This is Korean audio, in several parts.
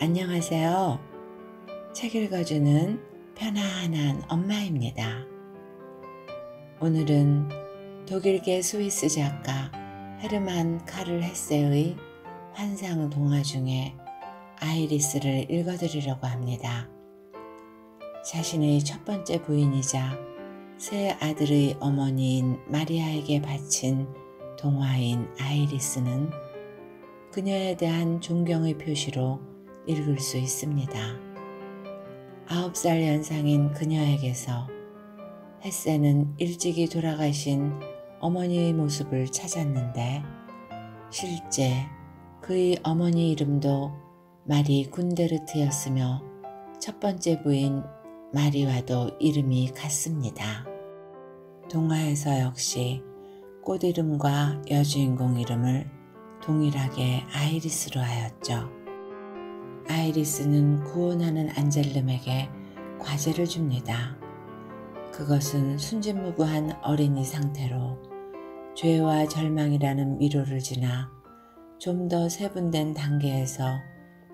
안녕하세요. 책 읽어주는 편안한 엄마입니다. 오늘은 독일계 스위스 작가 헤르만 카를 헤세의 환상 동화 중에 아이리스를 읽어드리려고 합니다. 자신의 첫 번째 부인이자 새 아들의 어머니인 마리아에게 바친 동화인 아이리스는 그녀에 대한 존경의 표시로 읽을 수 있습니다. 아홉 살 연상인 그녀에게서 햇새는 일찍이 돌아가신 어머니의 모습을 찾았는데 실제 그의 어머니 이름도 마리 군데르트였으며 첫 번째 부인 마리와도 이름이 같습니다. 동화에서 역시 꽃 이름과 여주인공 이름을 동일하게 아이리스로 하였죠. 아이리스는 구원하는 안젤름에게 과제를 줍니다. 그것은 순진무구한 어린이 상태로 죄와 절망이라는 위로를 지나 좀 더 세분된 단계에서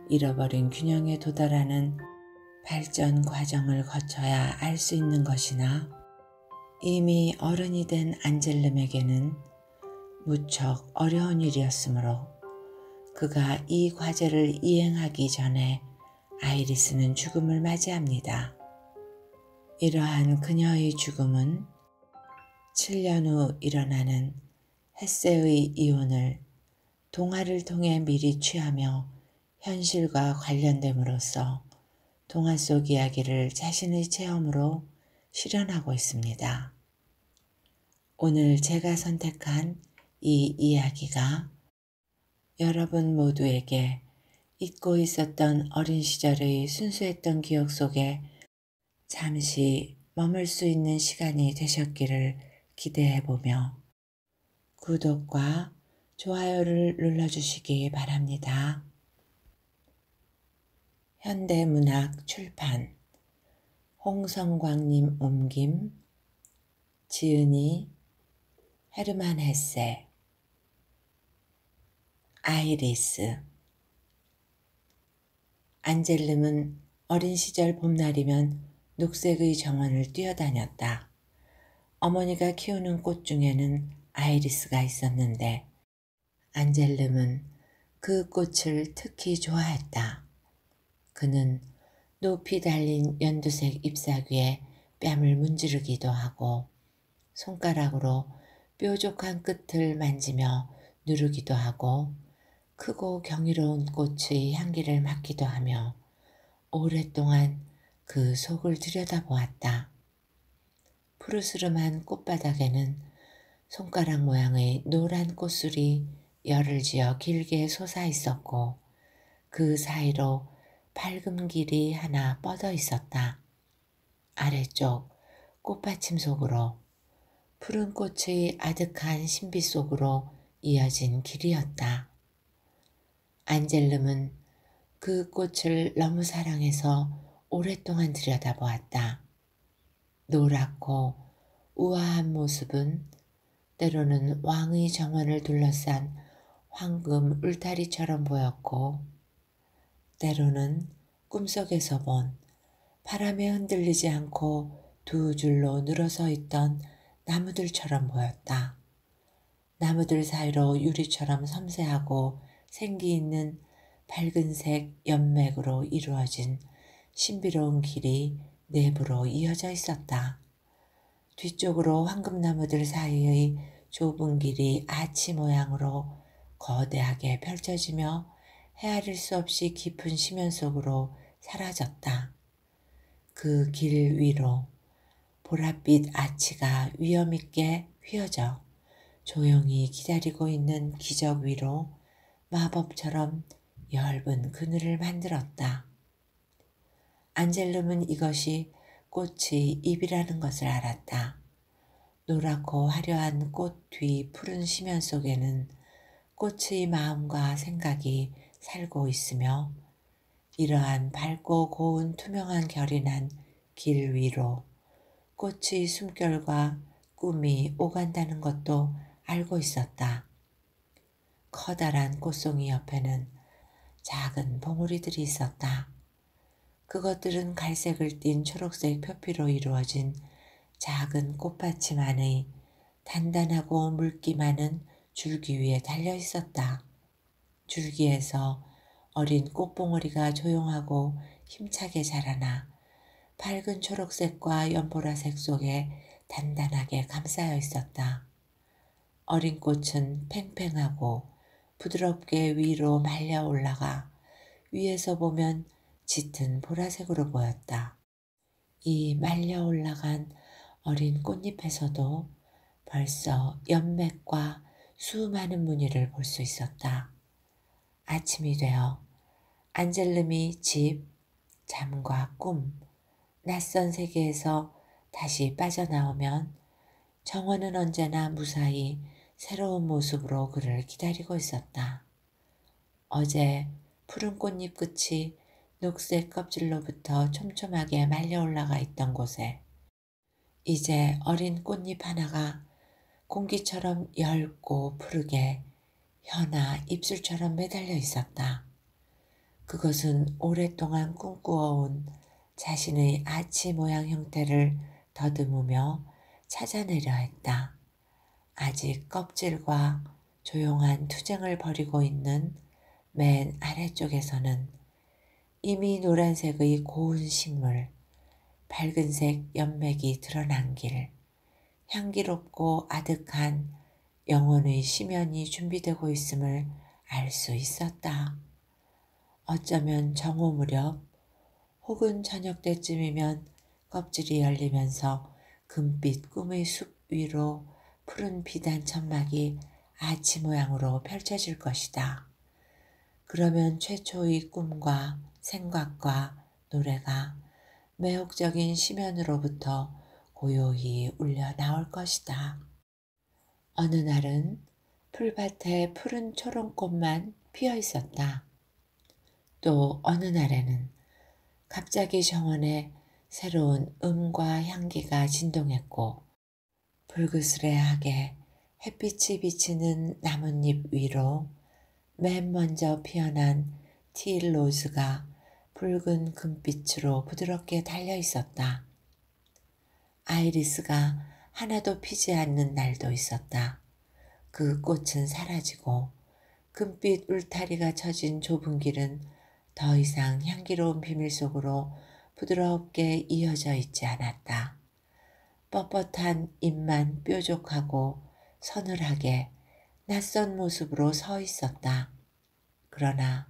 잃어버린 균형에 도달하는 발전 과정을 거쳐야 알 수 있는 것이나 이미 어른이 된 안젤름에게는 무척 어려운 일이었으므로 그가 이 과제를 이행하기 전에 아이리스는 죽음을 맞이합니다. 이러한 그녀의 죽음은 7년 후 일어나는 헤세의 이혼을 동화를 통해 미리 취하며 현실과 관련됨으로써 동화 속 이야기를 자신의 체험으로 실현하고 있습니다. 오늘 제가 선택한 이 이야기가 여러분 모두에게 잊고 있었던 어린 시절의 순수했던 기억 속에 잠시 머물 수 있는 시간이 되셨기를 기대해보며 구독과 좋아요를 눌러주시기 바랍니다. 현대문학 출판 홍성광님 옮김 지은이 헤르만 헤세 아이리스 안젤름은 어린 시절 봄날이면 녹색의 정원을 뛰어다녔다. 어머니가 키우는 꽃 중에는 아이리스가 있었는데 안젤름은 그 꽃을 특히 좋아했다. 그는 높이 달린 연두색 잎사귀에 뺨을 문지르기도 하고 손가락으로 뾰족한 끝을 만지며 누르기도 하고 크고 경이로운 꽃의 향기를 맡기도 하며 오랫동안 그 속을 들여다보았다. 푸르스름한 꽃바닥에는 손가락 모양의 노란 꽃술이 열을 지어 길게 솟아 있었고 그 사이로 밝은 길이 하나 뻗어 있었다. 아래쪽 꽃받침 속으로 푸른 꽃의 아득한 신비 속으로 이어진 길이었다. 안젤름은 그 꽃을 너무 사랑해서 오랫동안 들여다보았다. 노랗고 우아한 모습은 때로는 왕의 정원을 둘러싼 황금 울타리처럼 보였고 때로는 꿈속에서 본 바람에 흔들리지 않고 두 줄로 늘어서 있던 나무들처럼 보였다. 나무들 사이로 유리처럼 섬세하고 생기 있는 밝은색 연맥으로 이루어진 신비로운 길이 내부로 이어져 있었다. 뒤쪽으로 황금나무들 사이의 좁은 길이 아치 모양으로 거대하게 펼쳐지며 헤아릴 수 없이 깊은 심연 속으로 사라졌다. 그 길 위로 보랏빛 아치가 위험있게 휘어져 조용히 기다리고 있는 기적 위로 마법처럼 엷은 그늘을 만들었다. 안젤름은 이것이 꽃이 입이라는 것을 알았다. 노랗고 화려한 꽃 뒤 푸른 심연 속에는 꽃의 마음과 생각이 살고 있으며 이러한 밝고 고운 투명한 결이 난 길 위로 꽃의 숨결과 꿈이 오간다는 것도 알고 있었다. 커다란 꽃송이 옆에는 작은 봉우리들이 있었다. 그것들은 갈색을 띤 초록색 표피로 이루어진 작은 꽃받침 안의 단단하고 물기 많은 줄기 위에 달려 있었다. 줄기에서 어린 꽃봉오리가 조용하고 힘차게 자라나 밝은 초록색과 연보라색 속에 단단하게 감싸여 있었다. 어린 꽃은 팽팽하고 부드럽게 위로 말려 올라가 위에서 보면 짙은 보라색으로 보였다. 이 말려 올라간 어린 꽃잎에서도 벌써 연맥과 수많은 무늬를 볼 수 있었다. 아침이 되어 안젤름이 집, 잠과 꿈, 낯선 세계에서 다시 빠져나오면 정원은 언제나 무사히 새로운 모습으로 그를 기다리고 있었다. 어제 푸른 꽃잎 끝이 녹색 껍질로부터 촘촘하게 말려 올라가 있던 곳에 이제 어린 꽃잎 하나가 공기처럼 얇고 푸르게 현아 입술처럼 매달려 있었다. 그것은 오랫동안 꿈꾸어온 자신의 아치 모양 형태를 더듬으며 찾아내려 했다. 아직 껍질과 조용한 투쟁을 벌이고 있는 맨 아래쪽에서는 이미 노란색의 고운 식물, 밝은색 연맥이 드러난 길, 향기롭고 아득한 영혼의 심연이 준비되고 있음을 알 수 있었다. 어쩌면 정오 무렵 혹은 저녁 때쯤이면 껍질이 열리면서 금빛 꿈의 숲 위로 푸른 비단 천막이 아치 모양으로 펼쳐질 것이다. 그러면 최초의 꿈과 생각과 노래가 매혹적인 심연으로부터 고요히 울려 나올 것이다. 어느 날은 풀밭에 푸른 초롱꽃만 피어 있었다. 또 어느 날에는 갑자기 정원에 새로운 음과 향기가 진동했고 불그스레하게 햇빛이 비치는 나뭇잎 위로 맨 먼저 피어난 티일로즈가 붉은 금빛으로 부드럽게 달려 있었다. 아이리스가 하나도 피지 않는 날도 있었다. 그 꽃은 사라지고 금빛 울타리가 쳐진 좁은 길은 더 이상 향기로운 비밀 속으로 부드럽게 이어져 있지 않았다. 뻣뻣한 입만 뾰족하고 서늘하게 낯선 모습으로 서 있었다. 그러나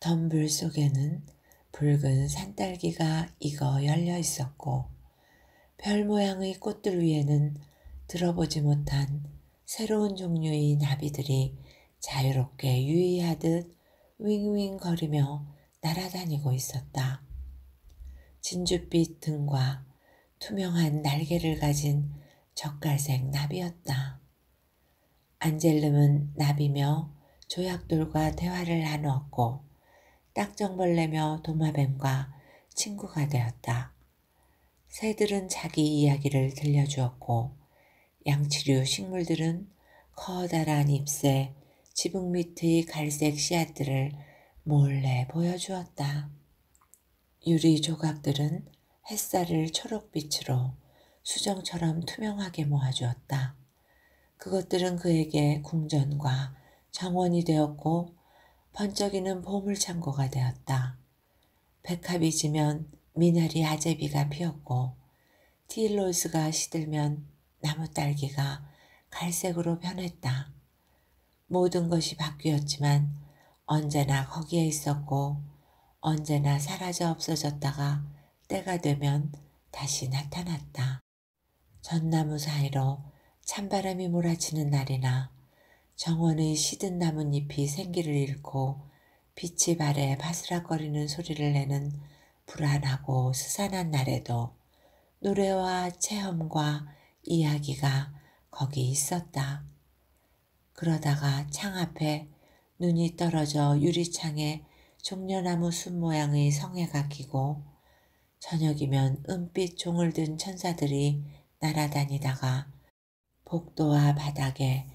덤불 속에는 붉은 산딸기가 익어 열려 있었고 별 모양의 꽃들 위에는 들어보지 못한 새로운 종류의 나비들이 자유롭게 유의하듯 윙윙거리며 날아다니고 있었다. 진주빛 등과 투명한 날개를 가진 적갈색 나비였다. 안젤름은 나비며 조약돌과 대화를 나누었고 딱정벌레며 도마뱀과 친구가 되었다. 새들은 자기 이야기를 들려주었고 양치류 식물들은 커다란 잎새 지붕 밑의 갈색 씨앗들을 몰래 보여주었다. 유리 조각들은 햇살을 초록빛으로 수정처럼 투명하게 모아주었다. 그것들은 그에게 궁전과 정원이 되었고 번쩍이는 보물창고가 되었다. 백합이 지면 미나리 아제비가 피었고 티일로스가 시들면 나무 딸기가 갈색으로 변했다. 모든 것이 바뀌었지만 언제나 거기에 있었고 언제나 사라져 없어졌다가 때가 되면 다시 나타났다. 전나무 사이로 찬바람이 몰아치는 날이나 정원의 시든 나뭇잎이 생기를 잃고 빛이 발에 바스락거리는 소리를 내는 불안하고 스산한 날에도 노래와 체험과 이야기가 거기 있었다. 그러다가 창 앞에 눈이 떨어져 유리창에 종려나무 숲 모양의 성에가 끼고 저녁이면 은빛 종을 든 천사들이 날아다니다가 복도와 바닥에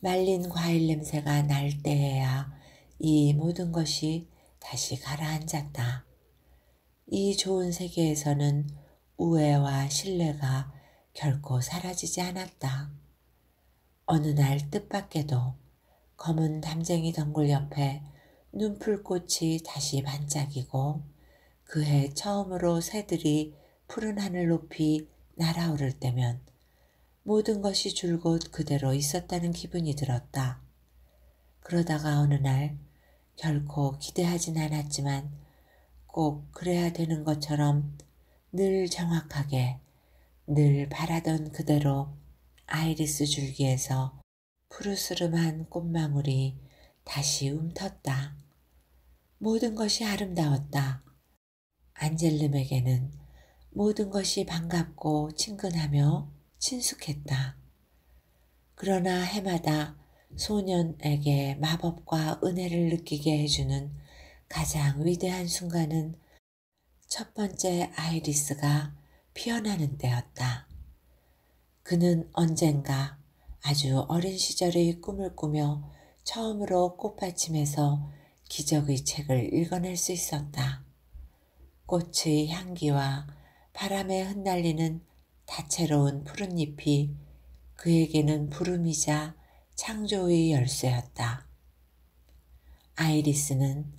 말린 과일 냄새가 날 때에야 이 모든 것이 다시 가라앉았다. 이 좋은 세계에서는 우애와 신뢰가 결코 사라지지 않았다. 어느 날 뜻밖에도 검은 담쟁이 덩굴 옆에 눈풀꽃이 다시 반짝이고 그해 처음으로 새들이 푸른 하늘 높이 날아오를 때면 모든 것이 줄곧 그대로 있었다는 기분이 들었다. 그러다가 어느 날 결코 기대하진 않았지만 꼭 그래야 되는 것처럼 늘 정확하게 늘 바라던 그대로 아이리스 줄기에서 푸르스름한 꽃망울이 다시 움텄다. 모든 것이 아름다웠다. 안젤름에게는 모든 것이 반갑고 친근하며 친숙했다. 그러나 해마다 소년에게 마법과 은혜를 느끼게 해주는 가장 위대한 순간은 첫 번째 아이리스가 피어나는 때였다. 그는 언젠가 아주 어린 시절의 꿈을 꾸며 처음으로 꽃받침에서 기적의 책을 읽어낼 수 있었다. 꽃의 향기와 바람에 흩날리는 다채로운 푸른 잎이 그에게는 부름이자 창조의 열쇠였다. 아이리스는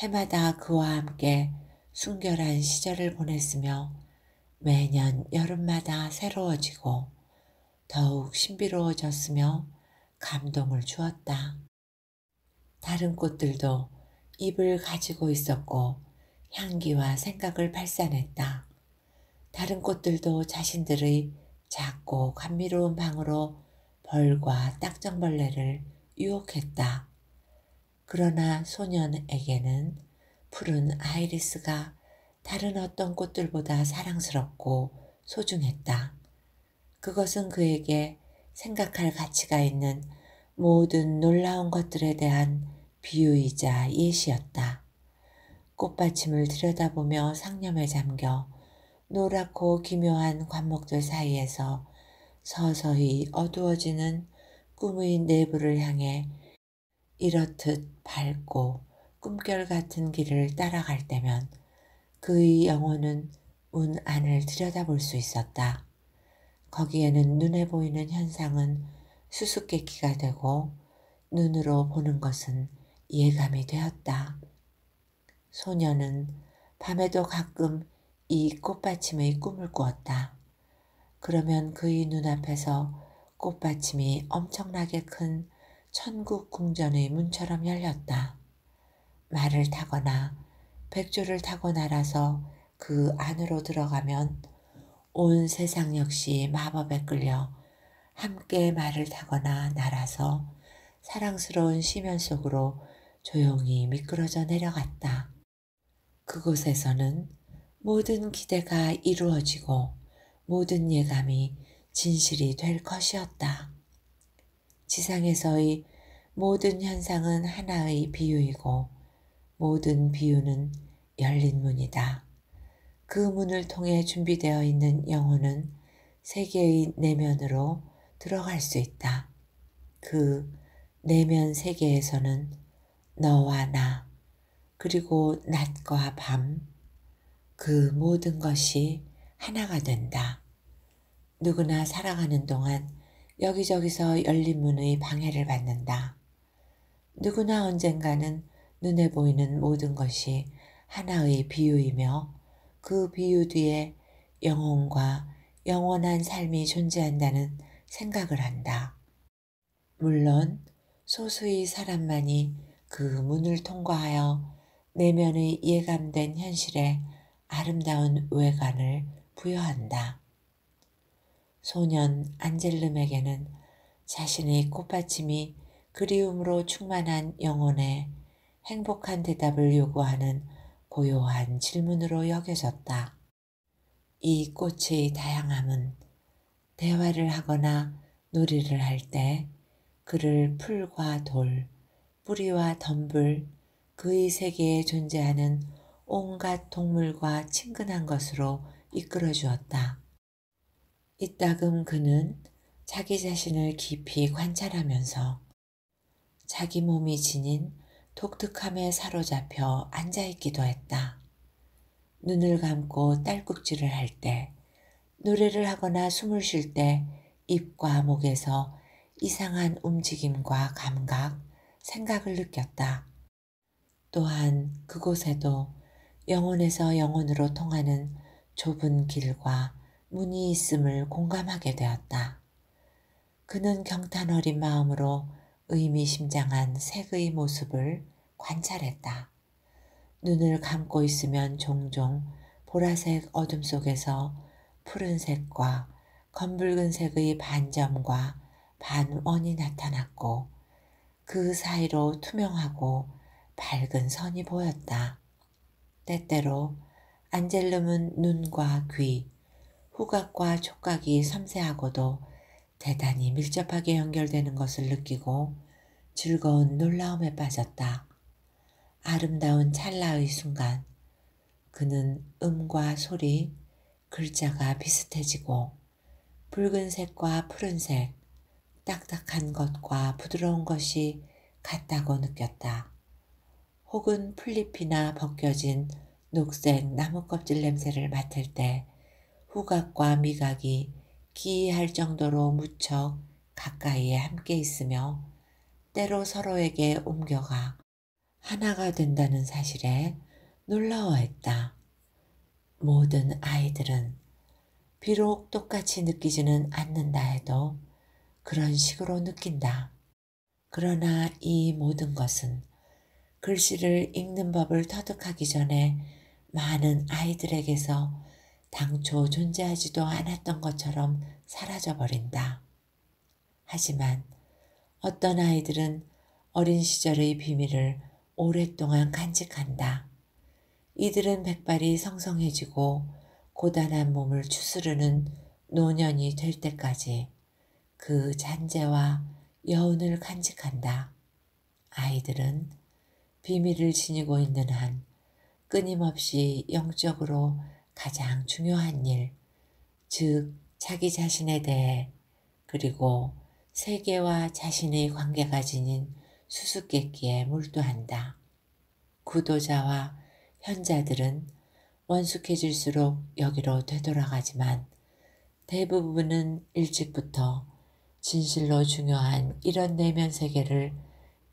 해마다 그와 함께 순결한 시절을 보냈으며 매년 여름마다 새로워지고 더욱 신비로워졌으며 감동을 주었다. 다른 꽃들도 잎을 가지고 있었고 향기와 생각을 발산했다. 다른 꽃들도 자신들의 작고 감미로운 방으로 벌과 딱정벌레를 유혹했다. 그러나 소년에게는 푸른 아이리스가 다른 어떤 꽃들보다 사랑스럽고 소중했다. 그것은 그에게 생각할 가치가 있는 모든 놀라운 것들에 대한 비유이자 예시였다. 꽃받침을 들여다보며 상념에 잠겨 노랗고 기묘한 관목들 사이에서 서서히 어두워지는 꿈의 내부를 향해 이렇듯 밝고 꿈결 같은 길을 따라갈 때면 그의 영혼은 문 안을 들여다볼 수 있었다. 거기에는 눈에 보이는 현상은 수수께끼가 되고 눈으로 보는 것은 예감이 되었다. 소녀는 밤에도 가끔 이 꽃받침의 꿈을 꾸었다. 그러면 그의 눈앞에서 꽃받침이 엄청나게 큰 천국 궁전의 문처럼 열렸다. 말을 타거나 백조를 타고 날아서 그 안으로 들어가면 온 세상 역시 마법에 끌려 함께 말을 타거나 날아서 사랑스러운 시면 속으로 조용히 미끄러져 내려갔다. 그곳에서는 모든 기대가 이루어지고 모든 예감이 진실이 될 것이었다. 지상에서의 모든 현상은 하나의 비유이고 모든 비유는 열린 문이다. 그 문을 통해 준비되어 있는 영혼은 세계의 내면으로 들어갈 수 있다. 그 내면 세계에서는 너와 나, 그리고 낮과 밤, 그 모든 것이 하나가 된다. 누구나 살아가는 동안 여기저기서 열린 문의 방해를 받는다. 누구나 언젠가는 눈에 보이는 모든 것이 하나의 비유이며 그 비유 뒤에 영혼과 영원한 삶이 존재한다는 생각을 한다. 물론 소수의 사람만이 그 문을 통과하여 내면의 예감된 현실에 아름다운 외관을 부여한다. 소년 안젤름에게는 자신의 꽃받침이 그리움으로 충만한 영혼에 행복한 대답을 요구하는 고요한 질문으로 여겨졌다. 이 꽃의 다양함은 대화를 하거나 놀이를 할 때 그를 풀과 돌, 뿌리와 덤불, 그의 세계에 존재하는 온갖 동물과 친근한 것으로 이끌어 주었다. 이따금 그는 자기 자신을 깊이 관찰하면서 자기 몸이 지닌 독특함에 사로잡혀 앉아있기도 했다. 눈을 감고 딸꾹질을 할 때, 노래를 하거나 숨을 쉴 때 입과 목에서 이상한 움직임과 감각, 생각을 느꼈다. 또한 그곳에도 영혼에서 영혼으로 통하는 좁은 길과 문이 있음을 공감하게 되었다. 그는 경탄 어린 마음으로 의미심장한 색의 모습을 관찰했다. 눈을 감고 있으면 종종 보라색 어둠 속에서 푸른색과 검붉은색의 반점과 반원이 나타났고 그 사이로 투명하고 밝은 선이 보였다. 때때로 안젤름은 눈과 귀, 후각과 촉각이 섬세하고도 대단히 밀접하게 연결되는 것을 느끼고 즐거운 놀라움에 빠졌다. 아름다운 찰나의 순간, 그는 음과 소리, 글자가 비슷해지고 붉은색과 푸른색, 딱딱한 것과 부드러운 것이 같다고 느꼈다. 혹은 풀잎이나 벗겨진 녹센 나무 껍질 냄새를 맡을 때 후각과 미각이 기이할 정도로 무척 가까이에 함께 있으며 때로 서로에게 옮겨가 하나가 된다는 사실에 놀라워했다. 모든 아이들은 비록 똑같이 느끼지는 않는다 해도 그런 식으로 느낀다. 그러나 이 모든 것은 글씨를 읽는 법을 터득하기 전에 많은 아이들에게서 당초 존재하지도 않았던 것처럼 사라져버린다. 하지만 어떤 아이들은 어린 시절의 비밀을 오랫동안 간직한다. 이들은 백발이 성성해지고 고단한 몸을 추스르는 노년이 될 때까지 그 잔재와 여운을 간직한다. 아이들은 비밀을 지니고 있는 한 끊임없이 영적으로 가장 중요한 일, 즉 자기 자신에 대해 그리고 세계와 자신의 관계가 지닌 수수께끼에 몰두한다. 구도자와 현자들은 원숙해질수록 여기로 되돌아가지만 대부분은 일찍부터 진실로 중요한 이런 내면 세계를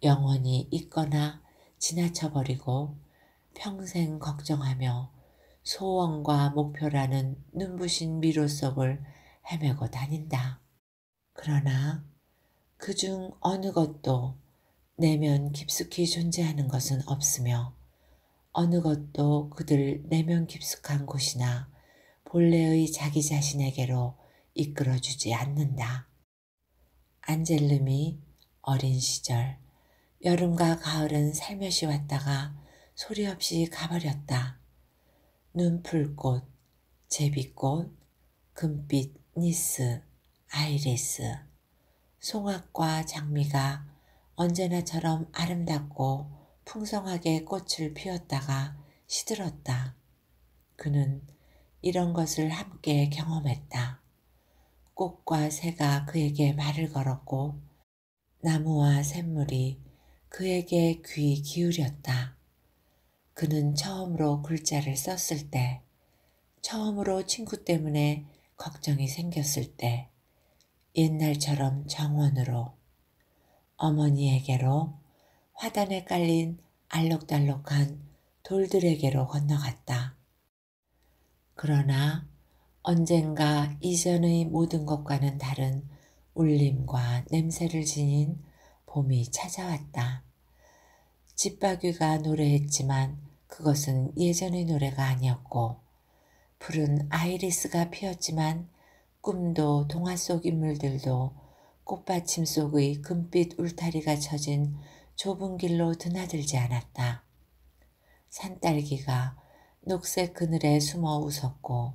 영원히 잊거나 지나쳐버리고 평생 걱정하며 소원과 목표라는 눈부신 미로 속을 헤매고 다닌다. 그러나 그중 어느 것도 내면 깊숙이 존재하는 것은 없으며 어느 것도 그들 내면 깊숙한 곳이나 본래의 자기 자신에게로 이끌어주지 않는다. 안젤름이 어린 시절 여름과 가을은 살며시 왔다가 소리 없이 가버렸다. 눈풀꽃, 제비꽃, 금빛 니스, 아이레스, 송악과 장미가 언제나처럼 아름답고 풍성하게 꽃을 피웠다가 시들었다. 그는 이런 것을 함께 경험했다. 꽃과 새가 그에게 말을 걸었고 나무와 샘물이 그에게 귀 기울였다. 그는 처음으로 글자를 썼을 때, 처음으로 친구 때문에 걱정이 생겼을 때, 옛날처럼 정원으로 어머니에게로 화단에 깔린 알록달록한 돌들에게로 건너갔다. 그러나 언젠가 이전의 모든 것과는 다른 울림과 냄새를 지닌 봄이 찾아왔다. 집바귀가 노래했지만 그것은 예전의 노래가 아니었고 푸른 아이리스가 피었지만 꿈도 동화 속 인물들도 꽃받침 속의 금빛 울타리가 쳐진 좁은 길로 드나들지 않았다. 산딸기가 녹색 그늘에 숨어 웃었고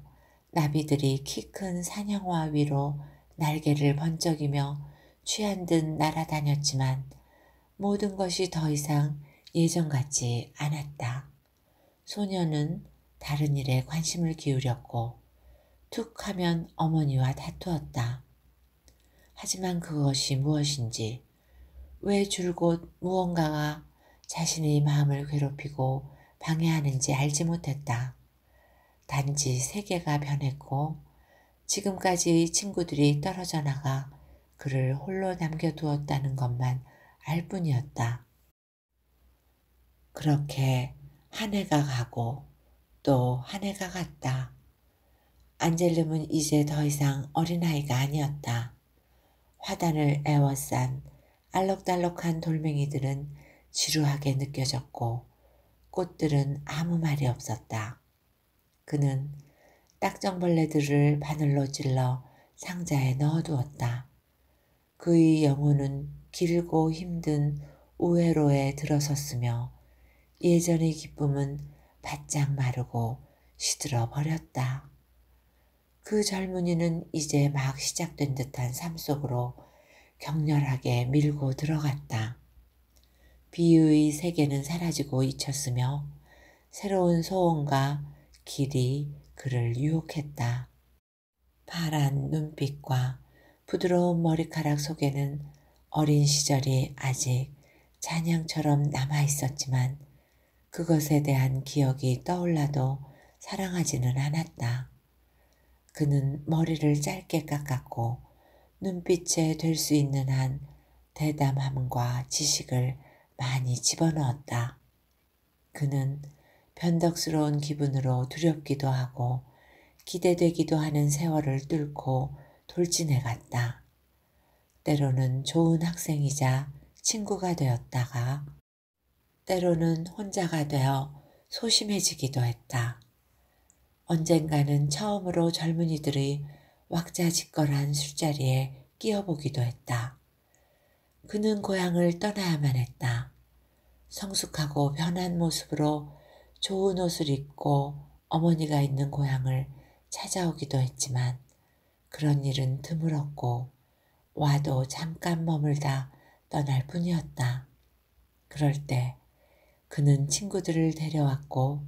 나비들이 키 큰 산양화 위로 날개를 번쩍이며 취한 듯 날아다녔지만 모든 것이 더 이상 예전 같지 않았다. 소녀는 다른 일에 관심을 기울였고 툭 하면 어머니와 다투었다. 하지만 그것이 무엇인지 왜 줄곧 무언가가 자신의 마음을 괴롭히고 방해하는지 알지 못했다. 단지 세계가 변했고 지금까지의 친구들이 떨어져 나가 그를 홀로 남겨두었다는 것만 알 뿐이었다. 그렇게 한 해가 가고 또 한 해가 갔다. 안젤름은 이제 더 이상 어린아이가 아니었다. 화단을 애워싼 알록달록한 돌멩이들은 지루하게 느껴졌고 꽃들은 아무 말이 없었다. 그는 딱정벌레들을 바늘로 찔러 상자에 넣어두었다. 그의 영혼은 길고 힘든 우회로에 들어섰으며 예전의 기쁨은 바짝 마르고 시들어 버렸다. 그 젊은이는 이제 막 시작된 듯한 삶 속으로 격렬하게 밀고 들어갔다. 비의 세계는 사라지고 잊혔으며 새로운 소원과 길이 그를 유혹했다. 파란 눈빛과 부드러운 머리카락 속에는 어린 시절이 아직 잔향처럼 남아 있었지만 그것에 대한 기억이 떠올라도 사랑하지는 않았다. 그는 머리를 짧게 깎았고 눈빛에 될 수 있는 한 대담함과 지식을 많이 집어넣었다. 그는 변덕스러운 기분으로 두렵기도 하고 기대되기도 하는 세월을 뚫고 돌진해 갔다. 때로는 좋은 학생이자 친구가 되었다가 때로는 혼자가 되어 소심해지기도 했다. 언젠가는 처음으로 젊은이들의 왁자지껄한 술자리에 끼어보기도 했다. 그는 고향을 떠나야만 했다. 성숙하고 변한 모습으로 좋은 옷을 입고 어머니가 있는 고향을 찾아오기도 했지만 그런 일은 드물었고 와도 잠깐 머물다 떠날 뿐이었다. 그럴 때 그는 친구들을 데려왔고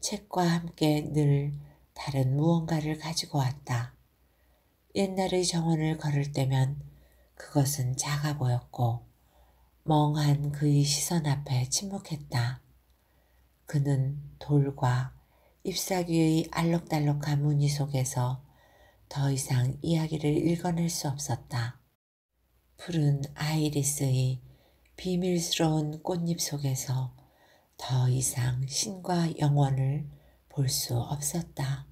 책과 함께 늘 다른 무언가를 가지고 왔다. 옛날의 정원을 걸을 때면 그것은 작아 보였고 멍한 그의 시선 앞에 침묵했다. 그는 돌과 잎사귀의 알록달록한 무늬 속에서 더 이상 이야기를 읽어낼 수 없었다. 푸른 아이리스의 비밀스러운 꽃잎 속에서 더 이상 신과 영원을 볼 수 없었다.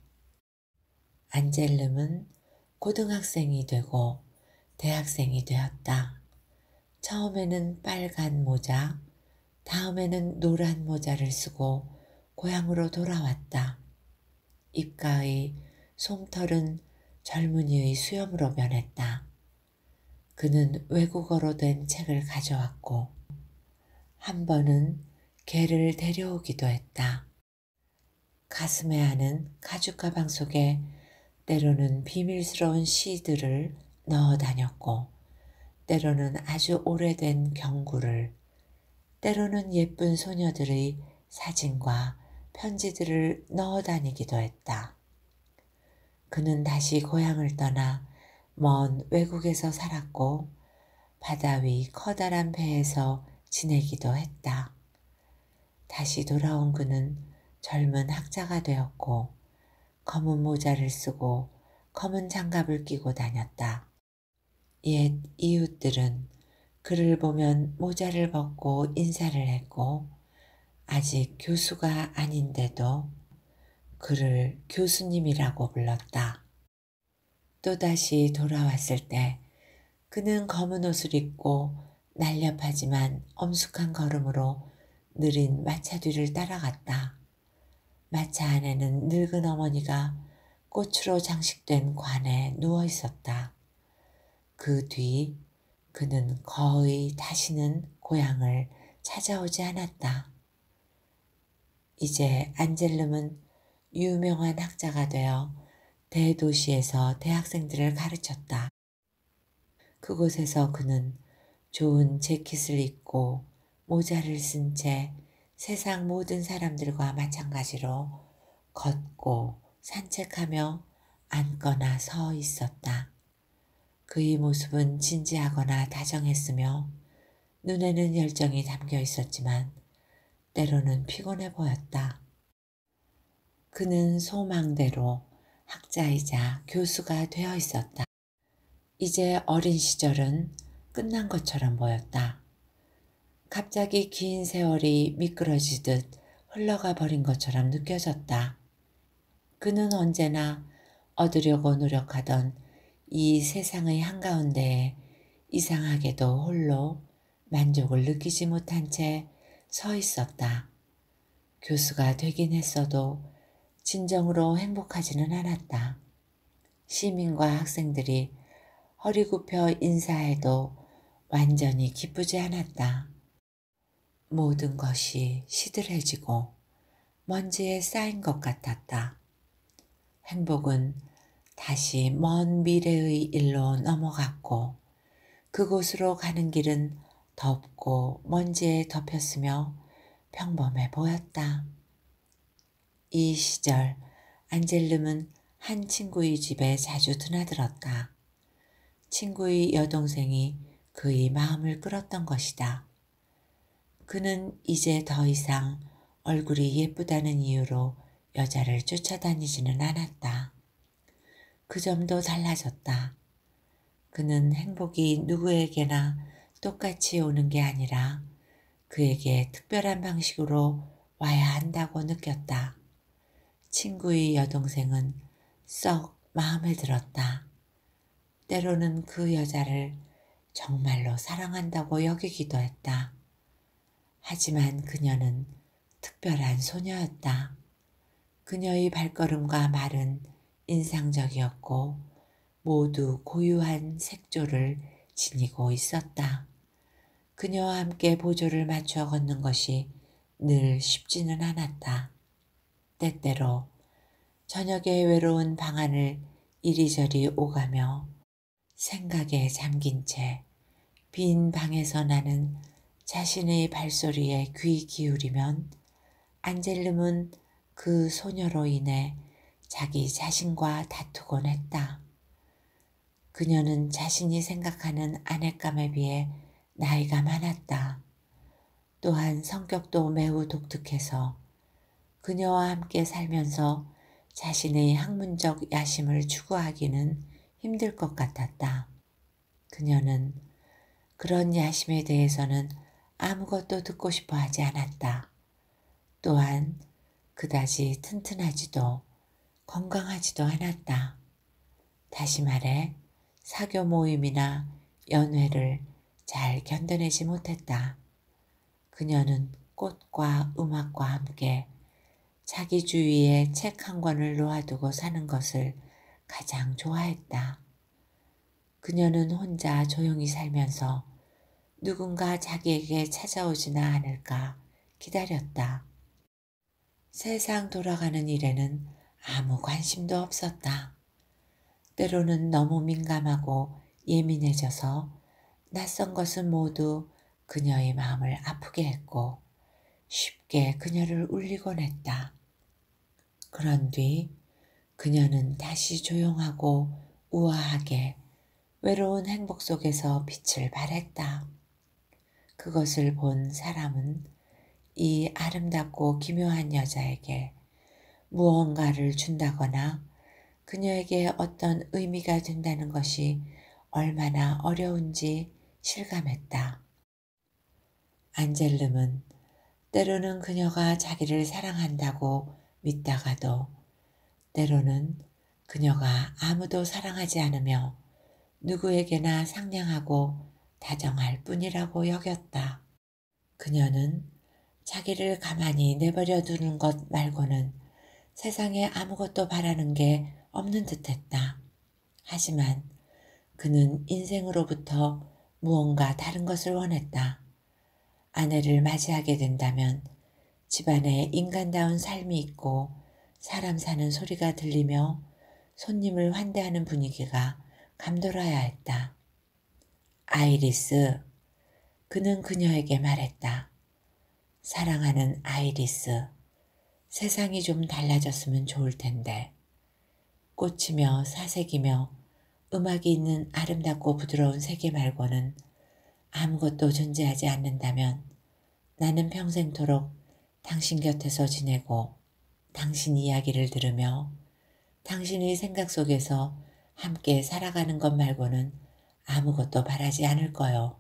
안젤름은 고등학생이 되고 대학생이 되었다. 처음에는 빨간 모자, 다음에는 노란 모자를 쓰고 고향으로 돌아왔다. 입가의 솜털은 젊은이의 수염으로 변했다. 그는 외국어로 된 책을 가져왔고 한 번은 개를 데려오기도 했다. 가슴에 안은 가죽 가방 속에 때로는 비밀스러운 시들을 넣어 다녔고, 때로는 아주 오래된 경구를, 때로는 예쁜 소녀들의 사진과 편지들을 넣어 다니기도 했다. 그는 다시 고향을 떠나 먼 외국에서 살았고 바다 위 커다란 배에서 지내기도 했다. 다시 돌아온 그는 젊은 학자가 되었고 검은 모자를 쓰고 검은 장갑을 끼고 다녔다. 옛 이웃들은 그를 보면 모자를 벗고 인사를 했고 아직 교수가 아닌데도 그를 교수님이라고 불렀다. 또다시 돌아왔을 때 그는 검은 옷을 입고 날렵하지만 엄숙한 걸음으로 느린 마차 뒤를 따라갔다. 마차 안에는 늙은 어머니가 꽃으로 장식된 관에 누워 있었다. 그 뒤 그는 거의 다시는 고향을 찾아오지 않았다. 이제 안젤름은 유명한 학자가 되어 대도시에서 대학생들을 가르쳤다. 그곳에서 그는 좋은 재킷을 입고 모자를 쓴 채 세상 모든 사람들과 마찬가지로 걷고 산책하며 앉거나 서 있었다. 그의 모습은 진지하거나 다정했으며 눈에는 열정이 담겨 있었지만 때로는 피곤해 보였다. 그는 소망대로 학자이자 교수가 되어 있었다. 이제 어린 시절은 끝난 것처럼 보였다. 갑자기 긴 세월이 미끄러지듯 흘러가 버린 것처럼 느껴졌다. 그는 언제나 얻으려고 노력하던 이 세상의 한가운데에 이상하게도 홀로 만족을 느끼지 못한 채 서 있었다. 교수가 되긴 했어도 진정으로 행복하지는 않았다. 시민과 학생들이 허리 굽혀 인사해도 완전히 기쁘지 않았다. 모든 것이 시들해지고 먼지에 쌓인 것 같았다. 행복은 다시 먼 미래의 일로 넘어갔고 그곳으로 가는 길은 덥고 먼지에 덮였으며 평범해 보였다. 이 시절 안젤름은 한 친구의 집에 자주 드나들었다. 친구의 여동생이 그의 마음을 끌었던 것이다. 그는 이제 더 이상 얼굴이 예쁘다는 이유로 여자를 쫓아다니지는 않았다. 그 점도 달라졌다. 그는 행복이 누구에게나 똑같이 오는 게 아니라 그에게 특별한 방식으로 와야 한다고 느꼈다. 친구의 여동생은 썩 마음에 들었다. 때로는 그 여자를 정말로 사랑한다고 여기기도 했다. 하지만 그녀는 특별한 소녀였다. 그녀의 발걸음과 말은 인상적이었고 모두 고유한 색조를 지니고 있었다. 그녀와 함께 보조를 맞춰 걷는 것이 늘 쉽지는 않았다. 때때로 저녁의 외로운 방안을 이리저리 오가며 생각에 잠긴 채 빈 방에서 나는 자신의 발소리에 귀 기울이면 안젤름은 그 소녀로 인해 자기 자신과 다투곤 했다. 그녀는 자신이 생각하는 아내감에 비해 나이가 많았다. 또한 성격도 매우 독특해서 그녀와 함께 살면서 자신의 학문적 야심을 추구하기는 힘들 것 같았다. 그녀는 그런 야심에 대해서는 아무것도 듣고 싶어 하지 않았다. 또한 그다지 튼튼하지도 건강하지도 않았다. 다시 말해 사교 모임이나 연회를 잘 견뎌내지 못했다. 그녀는 꽃과 음악과 함께 자기 주위에 책 한 권을 놓아두고 사는 것을 가장 좋아했다. 그녀는 혼자 조용히 살면서 누군가 자기에게 찾아오지나 않을까 기다렸다. 세상 돌아가는 일에는 아무 관심도 없었다. 때로는 너무 민감하고 예민해져서 낯선 것은 모두 그녀의 마음을 아프게 했고 쉽게 그녀를 울리곤 했다. 그런 뒤 그녀는 다시 조용하고 우아하게 외로운 행복 속에서 빛을 발했다. 그것을 본 사람은 이 아름답고 기묘한 여자에게 무언가를 준다거나 그녀에게 어떤 의미가 된다는 것이 얼마나 어려운지 실감했다. 안젤름은 때로는 그녀가 자기를 사랑한다고 믿다가도 때로는 그녀가 아무도 사랑하지 않으며 누구에게나 상냥하고 다정할 뿐이라고 여겼다. 그녀는 자기를 가만히 내버려 두는 것 말고는 세상에 아무것도 바라는 게 없는 듯 했다. 하지만 그는 인생으로부터 무언가 다른 것을 원했다. 아내를 맞이하게 된다면 집안에 인간다운 삶이 있고 사람 사는 소리가 들리며 손님을 환대하는 분위기가 감돌아야 했다. 아이리스. 그는 그녀에게 말했다. 사랑하는 아이리스. 세상이 좀 달라졌으면 좋을 텐데. 꽃이며 사색이며 음악이 있는 아름답고 부드러운 세계 말고는 아무것도 존재하지 않는다면 나는 평생토록 당신 곁에서 지내고 당신 이야기를 들으며 당신의 생각 속에서 함께 살아가는 것 말고는 아무것도 바라지 않을 거요.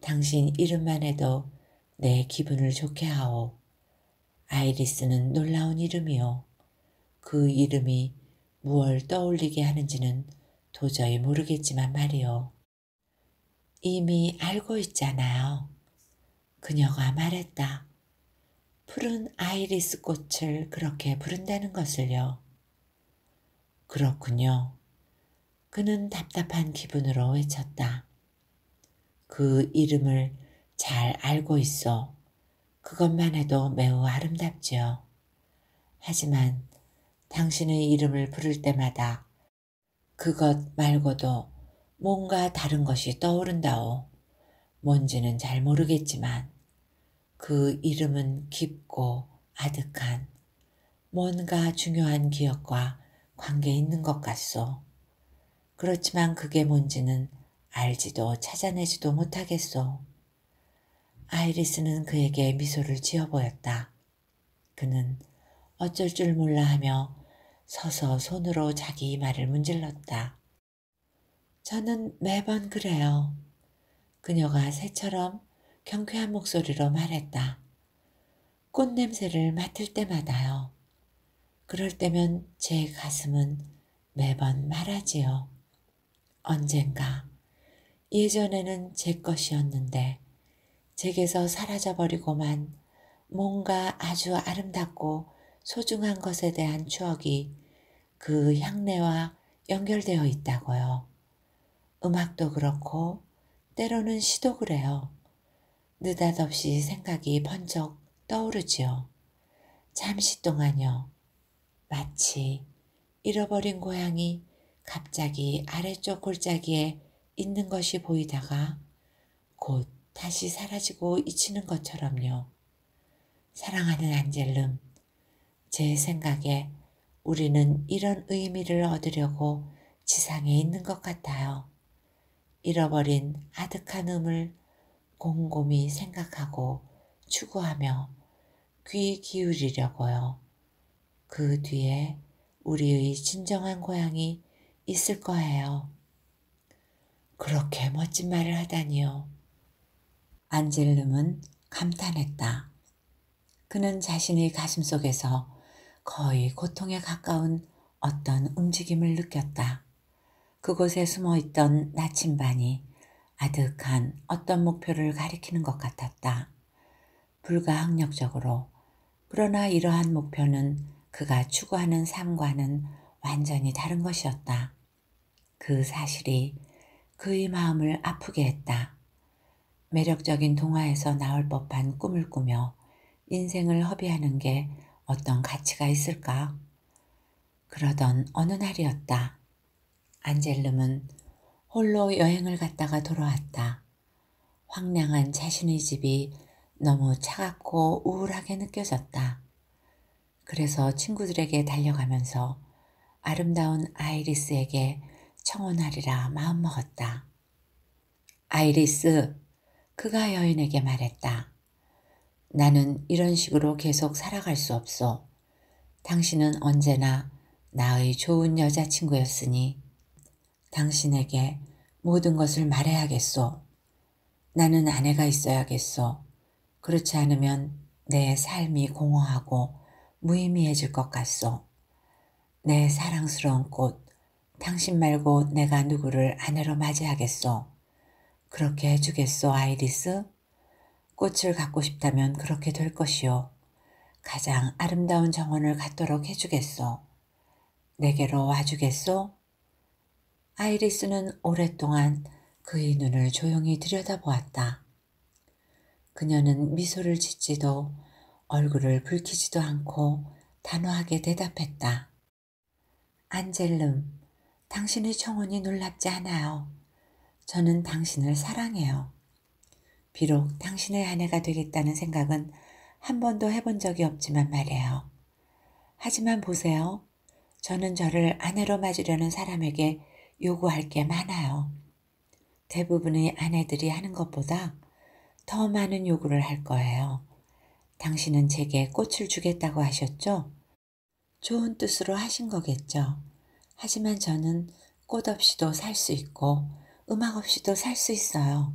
당신 이름만 해도 내 기분을 좋게 하오. 아이리스는 놀라운 이름이요. 그 이름이 무얼 떠올리게 하는지는 도저히 모르겠지만 말이요. 이미 알고 있잖아요. 그녀가 말했다. 푸른 아이리스 꽃을 그렇게 부른다는 것을요. 그렇군요. 그는 답답한 기분으로 외쳤다. 그 이름을 잘 알고 있어. 그것만 해도 매우 아름답지요. 하지만 당신의 이름을 부를 때마다 그것 말고도 뭔가 다른 것이 떠오른다오. 뭔지는 잘 모르겠지만 그 이름은 깊고 아득한 뭔가 중요한 기억과 관계 있는 것 같소. 그렇지만 그게 뭔지는 알지도 찾아내지도 못하겠소. 아이리스는 그에게 미소를 지어 보였다. 그는 어쩔 줄 몰라 하며 서서 손으로 자기 이마를 문질렀다. 저는 매번 그래요. 그녀가 새처럼 경쾌한 목소리로 말했다. 꽃 냄새를 맡을 때마다요. 그럴 때면 제 가슴은 매번 말하지요. 언젠가 예전에는 제 것이었는데 제게서 사라져버리고만 뭔가 아주 아름답고 소중한 것에 대한 추억이 그 향내와 연결되어 있다고요. 음악도 그렇고 때로는 시도 그래요. 느닷없이 생각이 번쩍 떠오르지요. 잠시 동안요. 마치 잃어버린 고양이 갑자기 아래쪽 골짜기에 있는 것이 보이다가 곧 다시 사라지고 잊히는 것처럼요. 사랑하는 안젤름, 제 생각에 우리는 이런 의미를 얻으려고 지상에 있는 것 같아요. 잃어버린 아득한 음을 곰곰이 생각하고 추구하며 귀 기울이려고요. 그 뒤에 우리의 진정한 고향이 있을 거예요. 그렇게 멋진 말을 하다니요. 안젤름은 감탄했다. 그는 자신의 가슴 속에서 거의 고통에 가까운 어떤 움직임을 느꼈다. 그곳에 숨어 있던 나침반이 아득한 어떤 목표를 가리키는 것 같았다. 불가항력적으로. 그러나 이러한 목표는 그가 추구하는 삶과는 완전히 다른 것이었다. 그 사실이 그의 마음을 아프게 했다. 매력적인 동화에서 나올 법한 꿈을 꾸며 인생을 허비하는 게 어떤 가치가 있을까? 그러던 어느 날이었다. 안젤름은 홀로 여행을 갔다가 돌아왔다. 황량한 자신의 집이 너무 차갑고 우울하게 느껴졌다. 그래서 친구들에게 달려가면서 아름다운 아이리스에게 청혼하리라 마음먹었다. 아이리스, 그가 여인에게 말했다. 나는 이런 식으로 계속 살아갈 수 없어. 당신은 언제나 나의 좋은 여자친구였으니 당신에게 모든 것을 말해야겠소. 나는 아내가 있어야겠소. 그렇지 않으면 내 삶이 공허하고 무의미해질 것 같소. 내 사랑스러운 꽃, 당신 말고 내가 누구를 아내로 맞이하겠소. 그렇게 해주겠소, 아이리스? 꽃을 갖고 싶다면 그렇게 될 것이요. 가장 아름다운 정원을 갖도록 해주겠소. 내게로 와주겠소? 아이리스는 오랫동안 그의 눈을 조용히 들여다보았다. 그녀는 미소를 짓지도 얼굴을 붉히지도 않고 단호하게 대답했다. 안젤름, 당신의 청혼이 놀랍지 않아요. 저는 당신을 사랑해요. 비록 당신의 아내가 되겠다는 생각은 한 번도 해본 적이 없지만 말이에요. 하지만 보세요. 저는 저를 아내로 맞으려는 사람에게 요구할 게 많아요. 대부분의 아내들이 하는 것보다 더 많은 요구를 할 거예요. 당신은 제게 꽃을 주겠다고 하셨죠? 좋은 뜻으로 하신 거겠죠. 하지만 저는 꽃 없이도 살 수 있고 음악 없이도 살 수 있어요.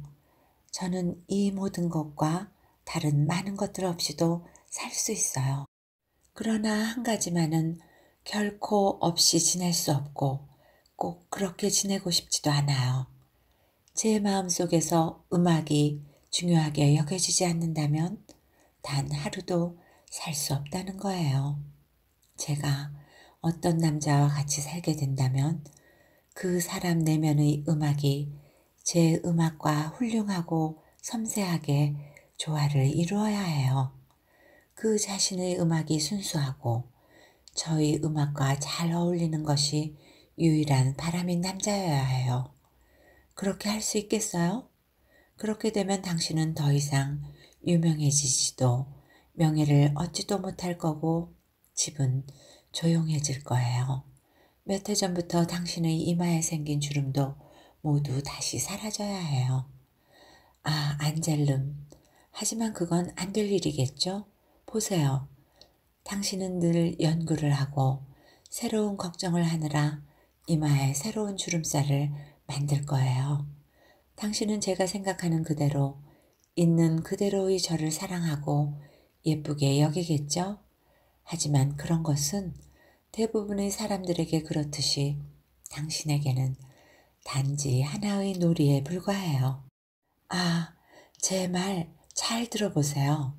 저는 이 모든 것과 다른 많은 것들 없이도 살 수 있어요. 그러나 한 가지만은 결코 없이 지낼 수 없고 꼭 그렇게 지내고 싶지도 않아요. 제 마음 속에서 음악이 중요하게 여겨지지 않는다면 단 하루도 살 수 없다는 거예요. 제가 어떤 남자와 같이 살게 된다면 그 사람 내면의 음악이 제 음악과 훌륭하고 섬세하게 조화를 이루어야 해요. 그 자신의 음악이 순수하고 저희 음악과 잘 어울리는 것이 유일한 바람인 남자여야 해요. 그렇게 할 수 있겠어요? 그렇게 되면 당신은 더 이상 유명해지지도 명예를 얻지도 못할 거고 집은 조용해질 거예요. 몇 해 전부터 당신의 이마에 생긴 주름도 모두 다시 사라져야 해요. 아, 안젤름. 하지만 그건 안 될 일이겠죠? 보세요. 당신은 늘 연구를 하고 새로운 걱정을 하느라 이마에 새로운 주름살을 만들 거예요. 당신은 제가 생각하는 그대로 있는 그대로의 저를 사랑하고 예쁘게 여기겠죠? 하지만 그런 것은 대부분의 사람들에게 그렇듯이 당신에게는 단지 하나의 놀이에 불과해요. 아, 제 말 잘 들어보세요.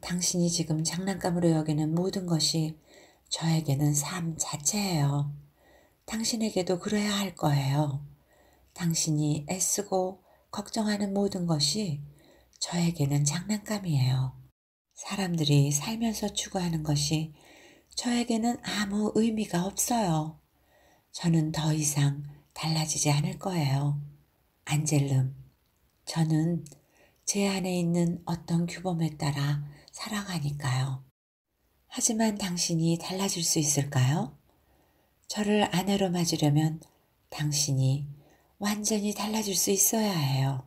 당신이 지금 장난감으로 여기는 모든 것이 저에게는 삶 자체예요. 당신에게도 그래야 할 거예요. 당신이 애쓰고 걱정하는 모든 것이 저에게는 장난감이에요. 사람들이 살면서 추구하는 것이 저에게는 아무 의미가 없어요. 저는 더 이상 달라지지 않을 거예요. 안젤름, 저는 제 안에 있는 어떤 규범에 따라 살아가니까요. 하지만 당신이 달라질 수 있을까요? 저를 아내로 맞으려면 당신이 완전히 달라질 수 있어야 해요.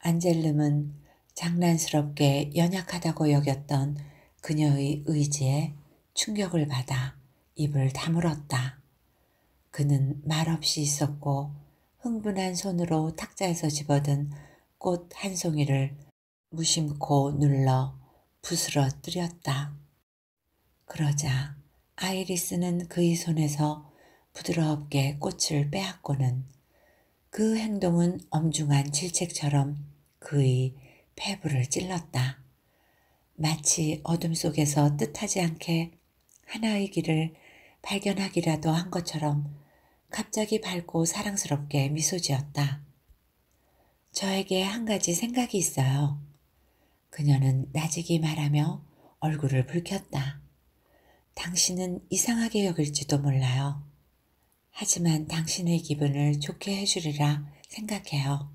안젤름은 장난스럽게 연약하다고 여겼던 그녀의 의지에 충격을 받아 입을 다물었다. 그는 말없이 있었고 흥분한 손으로 탁자에서 집어든 꽃 한 송이를 무심코 눌러 부스러뜨렸다. 그러자 아이리스는 그의 손에서 부드럽게 꽃을 빼앗고는 그 행동은 엄중한 질책처럼 그의 폐부를 찔렀다. 마치 어둠 속에서 뜻하지 않게 하나의 길을 발견하기라도 한 것처럼 갑자기 밝고 사랑스럽게 미소 지었다. 저에게 한 가지 생각이 있어요. 그녀는 나지기 말하며 얼굴을 붉혔다. 당신은 이상하게 여길지도 몰라요. 하지만 당신의 기분을 좋게 해주리라 생각해요.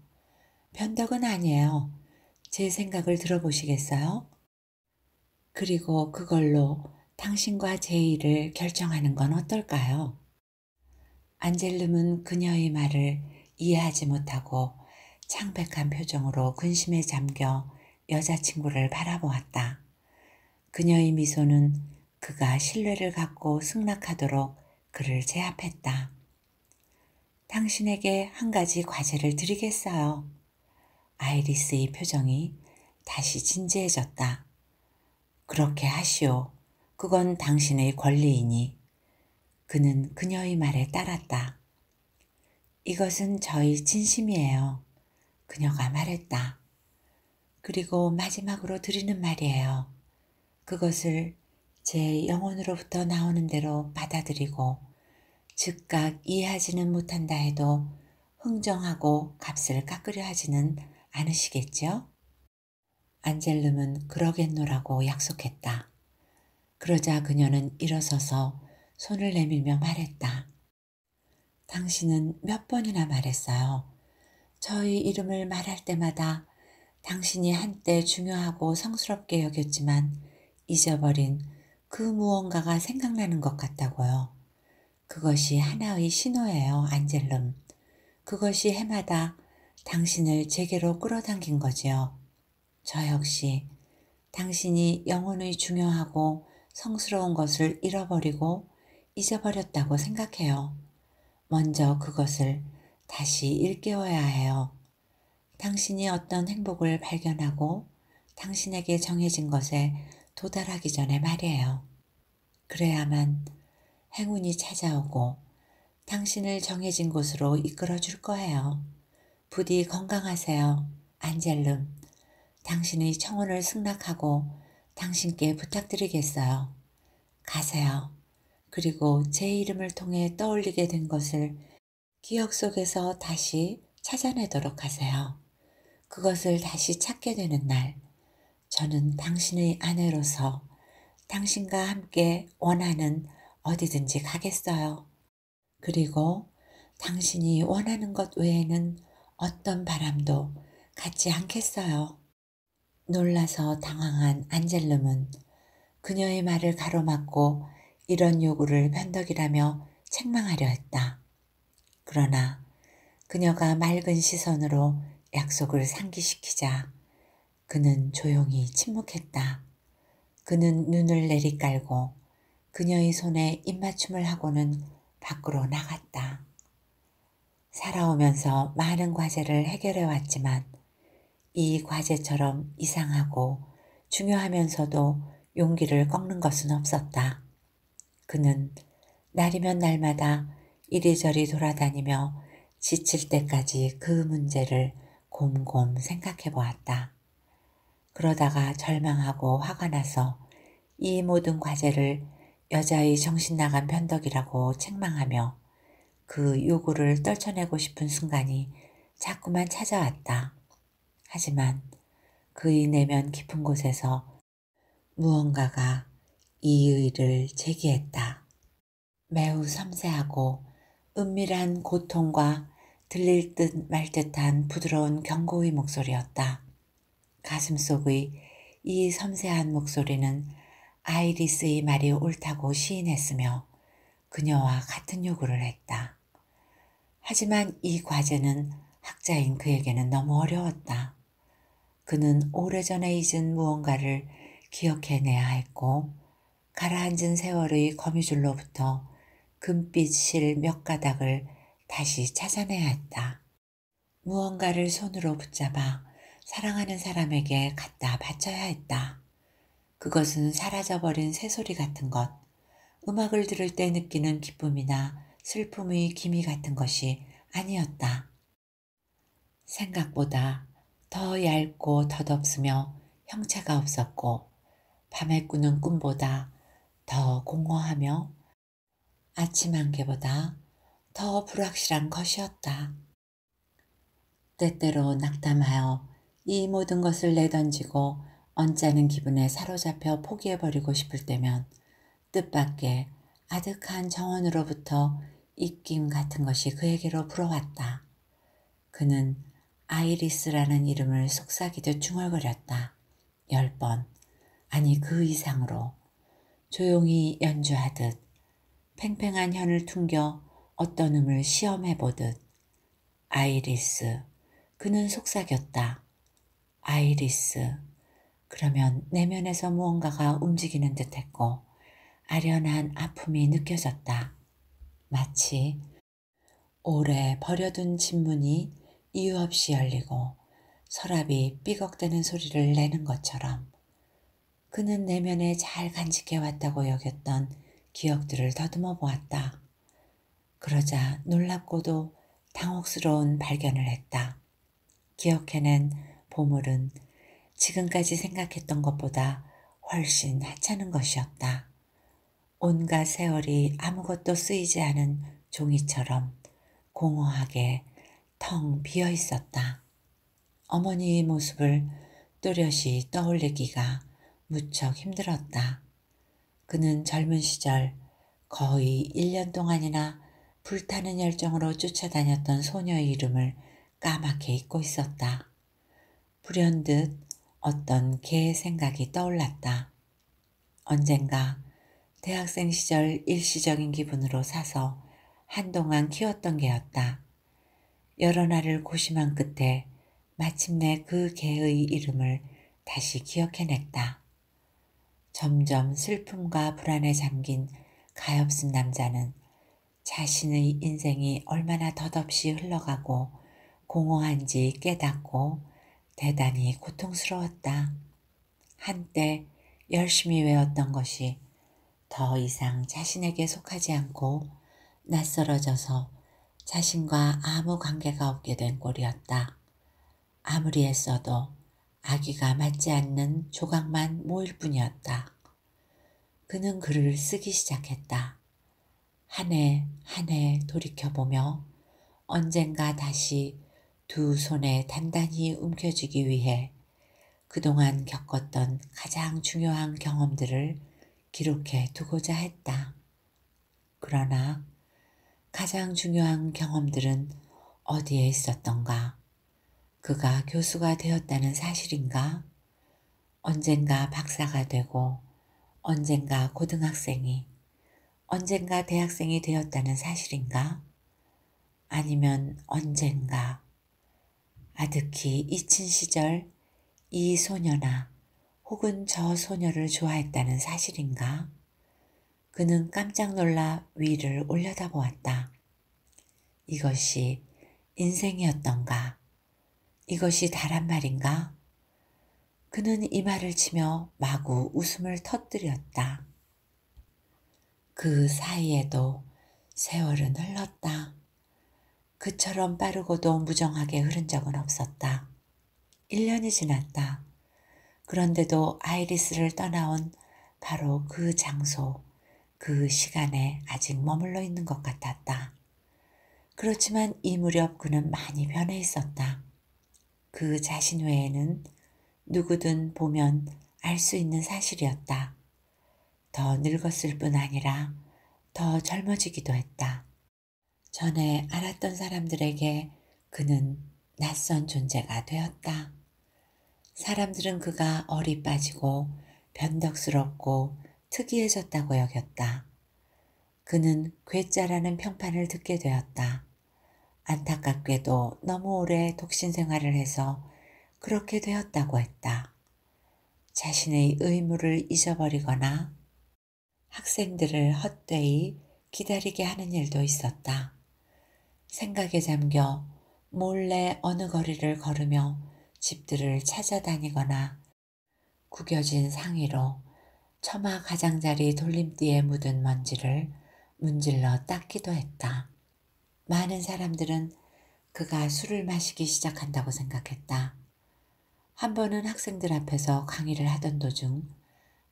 변덕은 아니에요. 제 생각을 들어보시겠어요? 그리고 그걸로 당신과 제 일을 결정하는 건 어떨까요? 안젤름은 그녀의 말을 이해하지 못하고 창백한 표정으로 근심에 잠겨 여자친구를 바라보았다. 그녀의 미소는 그가 신뢰를 갖고 승낙하도록 그를 제압했다. 당신에게 한 가지 과제를 드리겠어요. 아이리스의 표정이 다시 진지해졌다. 그렇게 하시오. 그건 당신의 권리이니. 그는 그녀의 말에 따랐다. 이것은 저희 진심이에요. 그녀가 말했다. 그리고 마지막으로 드리는 말이에요. 그것을 제 영혼으로부터 나오는 대로 받아들이고 즉각 이해하지는 못한다 해도 흥정하고 값을 깎으려 하지는 않으시겠지요? 안젤름은 그러겠노라고 약속했다. 그러자 그녀는 일어서서 손을 내밀며 말했다. 당신은 몇 번이나 말했어요. 저희 이름을 말할 때마다 당신이 한때 중요하고 성스럽게 여겼지만 잊어버린 그 무언가가 생각나는 것 같다고요. 그것이 하나의 신호예요, 안젤름. 그것이 해마다 당신을 제게로 끌어당긴 거지요. 저 역시 당신이 영혼의 중요하고 성스러운 것을 잃어버리고 잊어버렸다고 생각해요. 먼저 그것을 다시 일깨워야 해요. 당신이 어떤 행복을 발견하고 당신에게 정해진 것에 도달하기 전에 말이에요. 그래야만 행운이 찾아오고 당신을 정해진 곳으로 이끌어 줄 거예요. 부디 건강하세요. 안젤름. 당신의 청혼을 승낙하고 당신께 부탁드리겠어요. 가세요. 그리고 제 이름을 통해 떠올리게 된 것을 기억 속에서 다시 찾아내도록 하세요. 그것을 다시 찾게 되는 날, 저는 당신의 아내로서 당신과 함께 원하는 어디든지 가겠어요. 그리고 당신이 원하는 것 외에는 어떤 바람도 갖지 않겠어요. 놀라서 당황한 안젤름은 그녀의 말을 가로막고 이런 요구를 편덕이라며 책망하려 했다. 그러나 그녀가 맑은 시선으로 약속을 상기시키자 그는 조용히 침묵했다. 그는 눈을 내리깔고 그녀의 손에 입맞춤을 하고는 밖으로 나갔다. 살아오면서 많은 과제를 해결해 왔지만 이 과제처럼 이상하고 중요하면서도 용기를 꺾는 것은 없었다. 그는 날이면 날마다 이리저리 돌아다니며 지칠 때까지 그 문제를 곰곰 생각해 보았다. 그러다가 절망하고 화가 나서 이 모든 과제를 여자의 정신나간 변덕이라고 책망하며 그 요구를 떨쳐내고 싶은 순간이 자꾸만 찾아왔다. 하지만 그의 내면 깊은 곳에서 무언가가 이의를 제기했다. 매우 섬세하고 은밀한 고통과 들릴 듯 말 듯한 부드러운 경고의 목소리였다. 가슴 속의 이 섬세한 목소리는 아이리스의 말이 옳다고 시인했으며 그녀와 같은 요구를 했다. 하지만 이 과제는 학자인 그에게는 너무 어려웠다. 그는 오래전에 잊은 무언가를 기억해내야 했고 가라앉은 세월의 거미줄로부터 금빛 실 몇 가닥을 다시 찾아내야 했다. 무언가를 손으로 붙잡아 사랑하는 사람에게 갖다 바쳐야 했다. 그것은 사라져버린 새소리 같은 것, 음악을 들을 때 느끼는 기쁨이나 슬픔의 기미 같은 것이 아니었다. 생각보다 더 얇고 덧없으며 형체가 없었고 밤에 꾸는 꿈보다 더 공허하며 아침 안개보다 더 불확실한 것이었다. 때때로 낙담하여 이 모든 것을 내던지고 언짢은 기분에 사로잡혀 포기해버리고 싶을 때면 뜻밖의 아득한 정원으로부터 입김 같은 것이 그에게로 불어왔다. 그는 아이리스라는 이름을 속삭이듯 중얼거렸다. 열 번, 아니 그 이상으로 조용히 연주하듯 팽팽한 현을 퉁겨 어떤 음을 시험해 보듯 아이리스 그는 속삭였다. 아이리스 그러면 내면에서 무언가가 움직이는 듯했고 아련한 아픔이 느껴졌다. 마치 오래 버려둔 집문이 이유 없이 열리고 서랍이 삐걱대는 소리를 내는 것처럼 그는 내면에 잘 간직해왔다고 여겼던 기억들을 더듬어 보았다. 그러자 놀랍고도 당혹스러운 발견을 했다. 기억해낸 보물은 지금까지 생각했던 것보다 훨씬 하찮은 것이었다. 온갖 세월이 아무것도 쓰이지 않은 종이처럼 공허하게 텅 비어 있었다. 어머니의 모습을 또렷이 떠올리기가 무척 힘들었다. 그는 젊은 시절 거의 1년 동안이나 불타는 열정으로 쫓아다녔던 소녀의 이름을 까맣게 잊고 있었다. 불현듯 어떤 개의 생각이 떠올랐다. 언젠가 대학생 시절 일시적인 기분으로 사서 한동안 키웠던 개였다. 여러 날을 고심한 끝에 마침내 그 개의 이름을 다시 기억해냈다. 점점 슬픔과 불안에 잠긴 가엾은 남자는 자신의 인생이 얼마나 덧없이 흘러가고 공허한지 깨닫고 대단히 고통스러웠다. 한때 열심히 외웠던 것이 더 이상 자신에게 속하지 않고 낯설어져서 자신과 아무 관계가 없게 된 꼴이었다. 아무리 애써도 아기가 맞지 않는 조각만 모일 뿐이었다. 그는 글을 쓰기 시작했다. 한 해 한 해 돌이켜보며 언젠가 다시 두 손에 단단히 움켜쥐기 위해 그동안 겪었던 가장 중요한 경험들을 기록해 두고자 했다. 그러나 가장 중요한 경험들은 어디에 있었던가? 그가 교수가 되었다는 사실인가? 언젠가 박사가 되고 언젠가 고등학생이 언젠가 대학생이 되었다는 사실인가? 아니면 언젠가 아득히 잊힌 시절 이 소녀나 혹은 저 소녀를 좋아했다는 사실인가? 그는 깜짝 놀라 위를 올려다보았다. 이것이 인생이었던가? 이것이 다란 말인가? 그는 이 말을 치며 마구 웃음을 터뜨렸다. 그 사이에도 세월은 흘렀다. 그처럼 빠르고도 무정하게 흐른 적은 없었다. 1년이 지났다. 그런데도 아이리스를 떠나온 바로 그 장소, 그 시간에 아직 머물러 있는 것 같았다. 그렇지만 이 무렵 그는 많이 변해 있었다. 그 자신 외에는 누구든 보면 알 수 있는 사실이었다. 더 늙었을 뿐 아니라 더 젊어지기도 했다. 전에 알았던 사람들에게 그는 낯선 존재가 되었다. 사람들은 그가 어리 빠지고 변덕스럽고 특이해졌다고 여겼다. 그는 괴짜라는 평판을 듣게 되었다. 안타깝게도 너무 오래 독신 생활을 해서 그렇게 되었다고 했다. 자신의 의무를 잊어버리거나 학생들을 헛되이 기다리게 하는 일도 있었다. 생각에 잠겨 몰래 어느 거리를 걸으며 집들을 찾아다니거나 구겨진 상의로 처마 가장자리 돌림띠에 묻은 먼지를 문질러 닦기도 했다. 많은 사람들은 그가 술을 마시기 시작한다고 생각했다. 한 번은 학생들 앞에서 강의를 하던 도중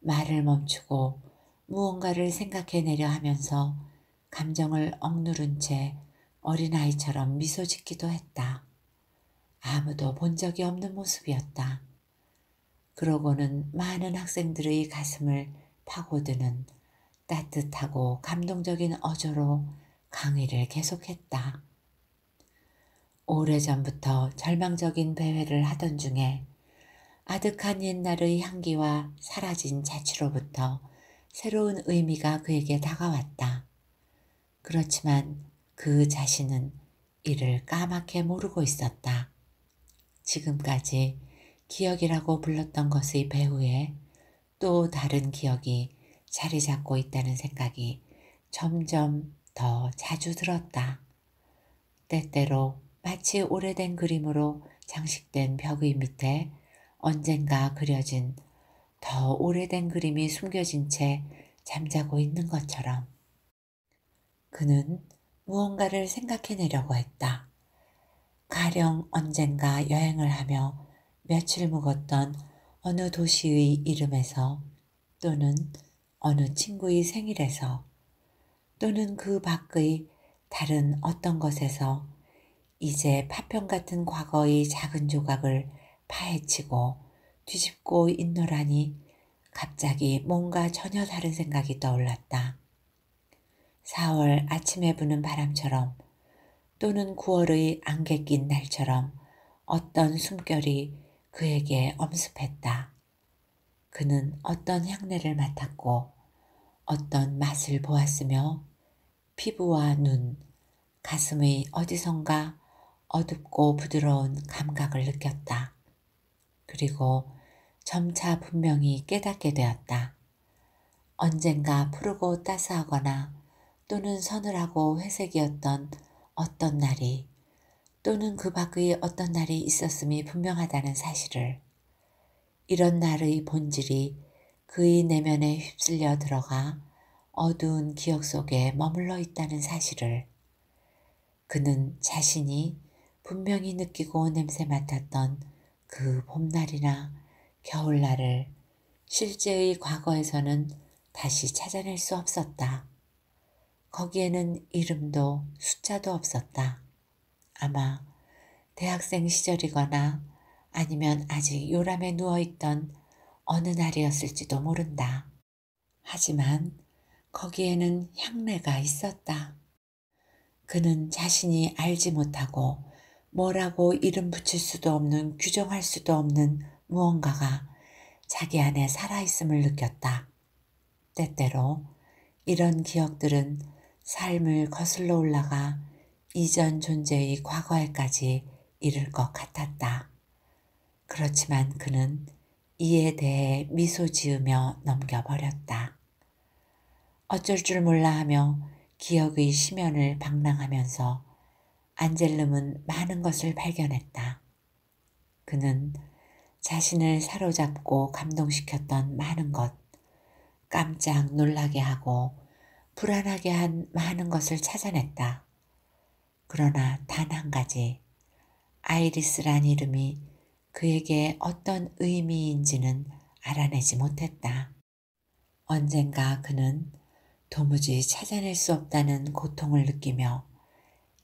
말을 멈추고 무언가를 생각해내려 하면서 감정을 억누른 채 어린아이처럼 미소 짓기도 했다. 아무도 본 적이 없는 모습이었다. 그러고는 많은 학생들의 가슴을 파고드는 따뜻하고 감동적인 어조로 강의를 계속했다. 오래전부터 절망적인 배회를 하던 중에 아득한 옛날의 향기와 사라진 자취로부터 새로운 의미가 그에게 다가왔다. 그렇지만 그 자신은 이를 까맣게 모르고 있었다. 지금까지 기억이라고 불렀던 것의 배후에 또 다른 기억이 자리 잡고 있다는 생각이 점점 더 자주 들었다. 때때로 마치 오래된 그림으로 장식된 벽의 밑에 언젠가 그려진 더 오래된 그림이 숨겨진 채 잠자고 있는 것처럼 그는 무언가를 생각해내려고 했다. 가령 언젠가 여행을 하며 며칠 묵었던 어느 도시의 이름에서 또는 어느 친구의 생일에서 또는 그 밖의 다른 어떤 것에서 이제 파편 같은 과거의 작은 조각을 파헤치고 뒤집고 있노라니 갑자기 뭔가 전혀 다른 생각이 떠올랐다. 4월 아침에 부는 바람처럼 또는 9월의 안개 낀 날처럼 어떤 숨결이 그에게 엄습했다. 그는 어떤 향내를 맡았고 어떤 맛을 보았으며 피부와 눈, 가슴의 어디선가 어둡고 부드러운 감각을 느꼈다. 그리고 점차 분명히 깨닫게 되었다. 언젠가 푸르고 따스하거나 또는 서늘하고 회색이었던 어떤 날이 또는 그 밖의 어떤 날이 있었음이 분명하다는 사실을 이런 날의 본질이 그의 내면에 휩쓸려 들어가 어두운 기억 속에 머물러 있다는 사실을 그는 자신이 분명히 느끼고 냄새 맡았던 그 봄날이나 겨울날을 실제의 과거에서는 다시 찾아낼 수 없었다. 거기에는 이름도 숫자도 없었다. 아마 대학생 시절이거나 아니면 아직 요람에 누워있던 어느 날이었을지도 모른다. 하지만 거기에는 향내가 있었다. 그는 자신이 알지 못하고 뭐라고 이름 붙일 수도 없는 규정할 수도 없는 무언가가 자기 안에 살아있음을 느꼈다. 때때로 이런 기억들은 삶을 거슬러 올라가 이전 존재의 과거에까지 이를 것 같았다. 그렇지만 그는 이에 대해 미소 지으며 넘겨버렸다. 어쩔 줄 몰라 하며 기억의 심연을 방랑하면서 안젤름은 많은 것을 발견했다. 그는 자신을 사로잡고 감동시켰던 많은 것, 깜짝 놀라게 하고 불안하게 한 많은 것을 찾아냈다. 그러나 단 한 가지, 아이리스란 이름이 그에게 어떤 의미인지는 알아내지 못했다. 언젠가 그는 도무지 찾아낼 수 없다는 고통을 느끼며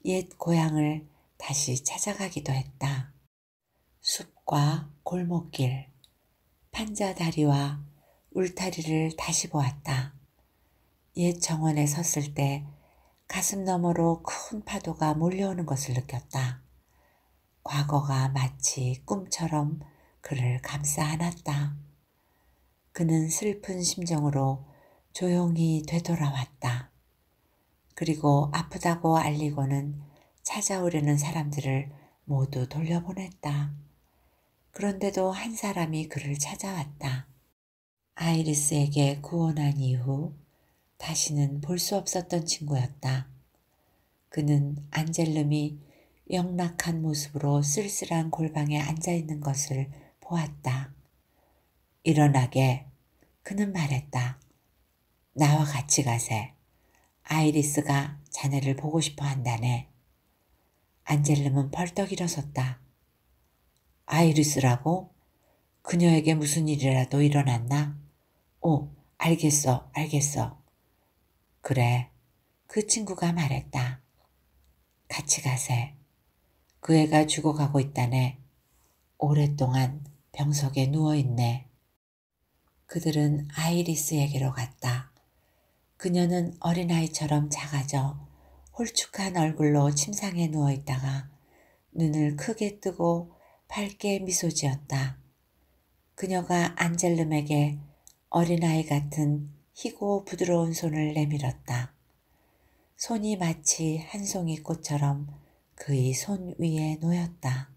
옛 고향을 다시 찾아가기도 했다. 숲과 골목길, 판자다리와 울타리를 다시 보았다. 옛 정원에 섰을 때 가슴 너머로 큰 파도가 몰려오는 것을 느꼈다. 과거가 마치 꿈처럼 그를 감싸 안았다. 그는 슬픈 심정으로 조용히 되돌아왔다. 그리고 아프다고 알리고는 찾아오려는 사람들을 모두 돌려보냈다. 그런데도 한 사람이 그를 찾아왔다. 아이리스에게 구원한 이후 다시는 볼 수 없었던 친구였다. 그는 안젤름이 영락한 모습으로 쓸쓸한 골방에 앉아 있는 것을 보았다. 일어나게 그는 말했다. 나와 같이 가세. 아이리스가 자네를 보고 싶어 한다네. 안젤름은 벌떡 일어섰다. 아이리스라고? 그녀에게 무슨 일이라도 일어났나? 오, 알겠어, 알겠어. 그래, 그 친구가 말했다. 같이 가세. 그 애가 죽어가고 있다네. 오랫동안 병석에 누워있네. 그들은 아이리스에게로 갔다. 그녀는 어린아이처럼 작아져 홀쭉한 얼굴로 침상에 누워있다가 눈을 크게 뜨고 밝게 미소 지었다. 그녀가 안젤름에게 어린아이 같은 희고 부드러운 손을 내밀었다. 손이 마치 한 송이 꽃처럼 그의 손 위에 놓였다.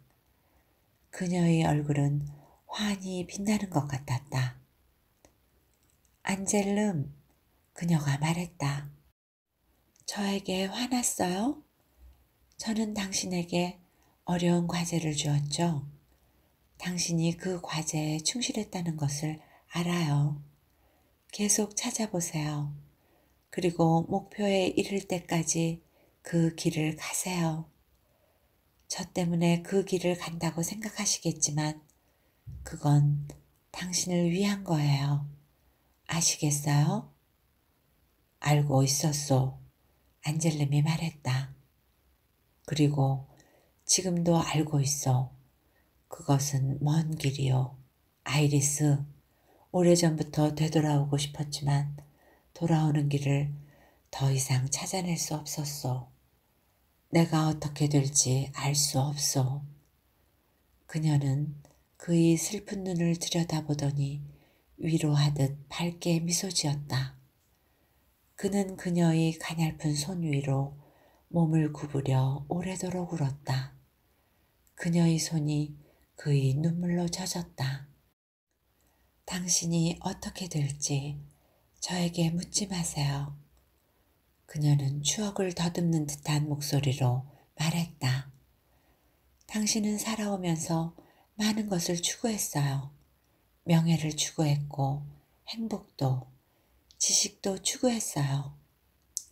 그녀의 얼굴은 환히 빛나는 것 같았다. 안젤름, 그녀가 말했다. 저에게 화났어요? 저는 당신에게 어려운 과제를 주었죠. 당신이 그 과제에 충실했다는 것을 알아요. 계속 찾아보세요. 그리고 목표에 이를 때까지 그 길을 가세요. 저 때문에 그 길을 간다고 생각하시겠지만 그건 당신을 위한 거예요. 아시겠어요? 알고 있었소. 안젤름이 말했다. 그리고 지금도 알고 있어. 그것은 먼 길이요. 아이리스, 오래전부터 되돌아오고 싶었지만 돌아오는 길을 더 이상 찾아낼 수 없었어. 내가 어떻게 될지 알 수 없어. 그녀는 그의 슬픈 눈을 들여다보더니 위로하듯 밝게 미소 지었다. 그는 그녀의 가냘픈 손 위로 몸을 구부려 오래도록 울었다. 그녀의 손이 그의 눈물로 젖었다. 당신이 어떻게 될지 저에게 묻지 마세요. 그녀는 추억을 더듬는 듯한 목소리로 말했다. 당신은 살아오면서 많은 것을 추구했어요. 명예를 추구했고 행복도 지식도 추구했어요.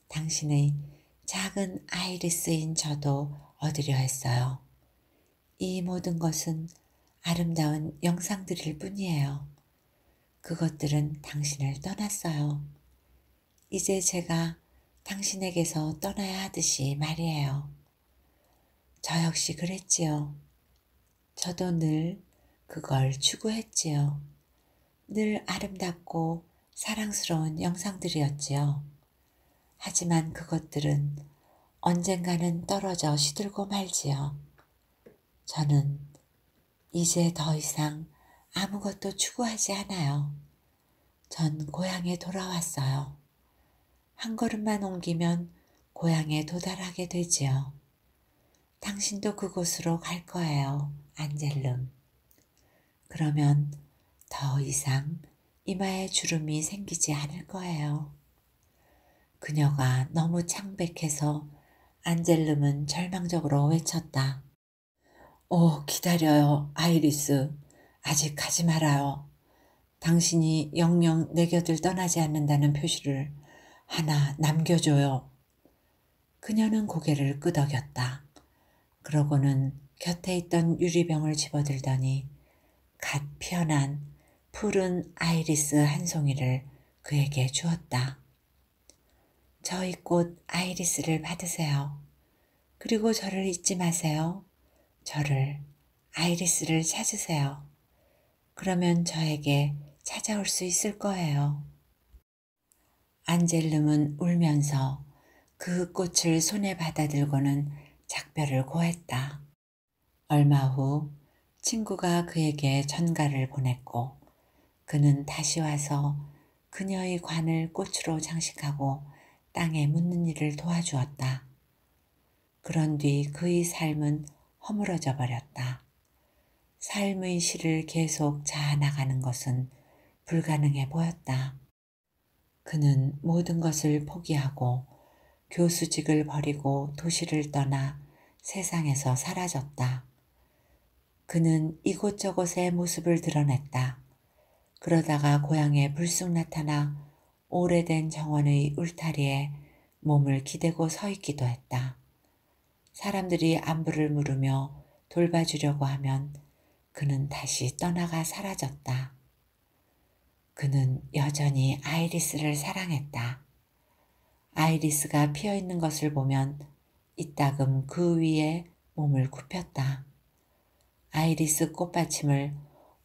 당신의 작은 아이리스인 저도 얻으려 했어요. 이 모든 것은 아름다운 영상들일 뿐이에요. 그것들은 당신을 떠났어요. 이제 제가 당신에게서 떠나야 하듯이 말이에요. 저 역시 그랬지요. 저도 늘 그걸 추구했지요. 늘 아름답고 사랑스러운 영상들이었지요. 하지만 그것들은 언젠가는 떨어져 시들고 말지요. 저는 이제 더 이상 아무것도 추구하지 않아요. 전 고향에 돌아왔어요. 한 걸음만 옮기면 고향에 도달하게 되지요. 당신도 그곳으로 갈 거예요, 안젤름. 그러면 더 이상 이마에 주름이 생기지 않을 거예요. 그녀가 너무 창백해서 안젤름은 절망적으로 외쳤다. 오, 기다려요, 아이리스. 아직 가지 말아요. 당신이 영영 내 곁을 떠나지 않는다는 표시를 하나 남겨줘요. 그녀는 고개를 끄덕였다. 그러고는 곁에 있던 유리병을 집어들더니 갓 피어난 푸른 아이리스 한 송이를 그에게 주었다. 저희 꽃 아이리스를 받으세요. 그리고 저를 잊지 마세요. 저를 아이리스를 찾으세요. 그러면 저에게 찾아올 수 있을 거예요. 안젤름은 울면서 그 꽃을 손에 받아들고는 작별을 고했다. 얼마 후 친구가 그에게 전가를 보냈고 그는 다시 와서 그녀의 관을 꽃으로 장식하고 땅에 묻는 일을 도와주었다. 그런 뒤 그의 삶은 허물어져 버렸다. 삶의 실을 계속 자아나가는 것은 불가능해 보였다. 그는 모든 것을 포기하고 교수직을 버리고 도시를 떠나 세상에서 사라졌다. 그는 이곳저곳의 모습을 드러냈다. 그러다가 고향에 불쑥 나타나 오래된 정원의 울타리에 몸을 기대고 서 있기도 했다. 사람들이 안부를 물으며 돌봐주려고 하면 그는 다시 떠나가 사라졌다. 그는 여전히 아이리스를 사랑했다. 아이리스가 피어 있는 것을 보면 이따금 그 위에 몸을 굽혔다. 아이리스 꽃받침을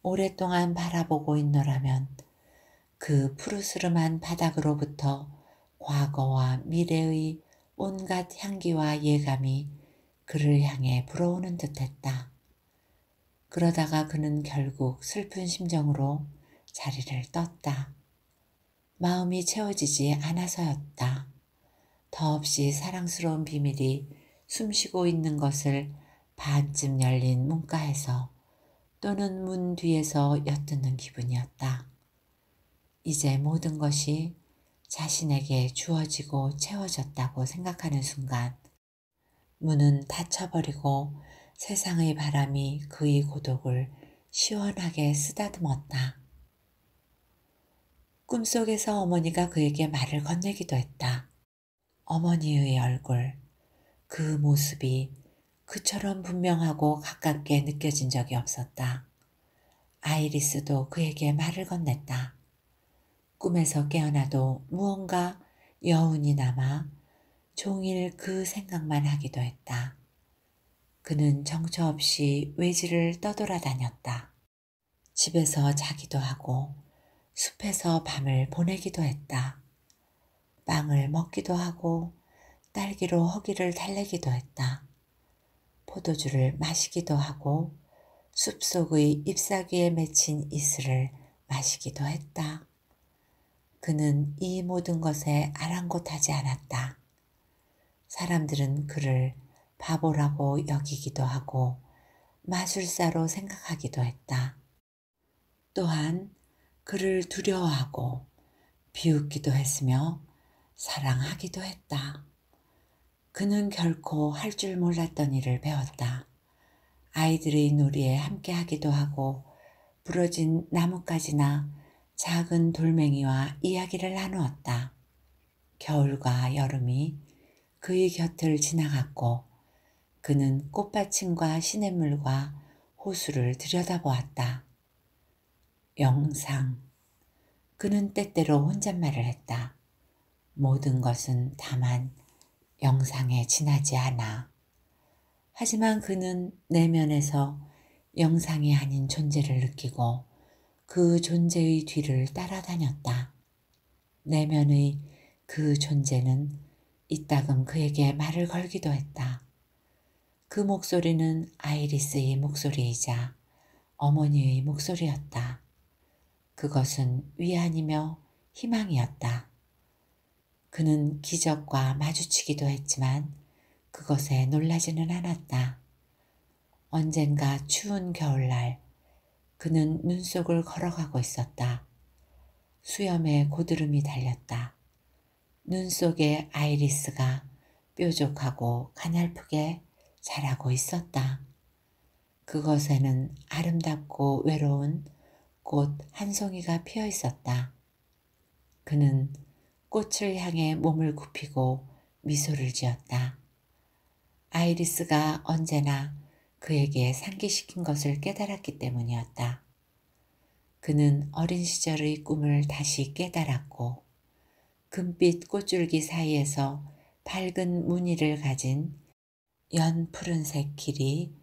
오랫동안 바라보고 있노라면 그 푸르스름한 바닥으로부터 과거와 미래의 온갖 향기와 예감이 그를 향해 불어오는 듯했다. 그러다가 그는 결국 슬픈 심정으로 자리를 떴다. 마음이 채워지지 않아서였다. 더없이 사랑스러운 비밀이 숨쉬고 있는 것을 반쯤 열린 문가에서 또는 문 뒤에서 엿듣는 기분이었다. 이제 모든 것이 자신에게 주어지고 채워졌다고 생각하는 순간 문은 닫혀버리고 세상의 바람이 그의 고독을 시원하게 쓰다듬었다. 꿈속에서 어머니가 그에게 말을 건네기도 했다. 어머니의 얼굴, 그 모습이 그처럼 분명하고 가깝게 느껴진 적이 없었다. 아이리스도 그에게 말을 건넸다. 꿈에서 깨어나도 무언가 여운이 남아 종일 그 생각만 하기도 했다. 그는 정처 없이 외지를 떠돌아다녔다. 집에서 자기도 하고 숲에서 밤을 보내기도 했다. 빵을 먹기도 하고 딸기로 허기를 달래기도 했다. 포도주를 마시기도 하고 숲속의 잎사귀에 맺힌 이슬을 마시기도 했다. 그는 이 모든 것에 아랑곳하지 않았다. 사람들은 그를 바보라고 여기기도 하고 마술사로 생각하기도 했다. 또한 그를 두려워하고 비웃기도 했으며 사랑하기도 했다. 그는 결코 할 줄 몰랐던 일을 배웠다. 아이들의 놀이에 함께 하기도 하고 부러진 나뭇가지나 작은 돌멩이와 이야기를 나누었다. 겨울과 여름이 그의 곁을 지나갔고 그는 꽃받침과 시냇물과 호수를 들여다보았다. 영상. 그는 때때로 혼잣말을 했다. 모든 것은 다만 영상에 지나지 않아. 하지만 그는 내면에서 영상이 아닌 존재를 느끼고 그 존재의 뒤를 따라다녔다. 내면의 그 존재는 이따금 그에게 말을 걸기도 했다. 그 목소리는 아이리스의 목소리이자 어머니의 목소리였다. 그것은 위안이며 희망이었다. 그는 기적과 마주치기도 했지만 그것에 놀라지는 않았다. 언젠가 추운 겨울날 그는 눈 속을 걸어가고 있었다. 수염에 고드름이 달렸다. 눈 속의 아이리스가 뾰족하고 가냘프게 자라고 있었다. 그것에는 아름답고 외로운 꽃 한 송이가 피어 있었다. 그는 꽃을 향해 몸을 굽히고 미소를 지었다. 아이리스가 언제나 그에게 상기시킨 것을 깨달았기 때문이었다. 그는 어린 시절의 꿈을 다시 깨달았고 금빛 꽃줄기 사이에서 밝은 무늬를 가진 연 푸른색 길이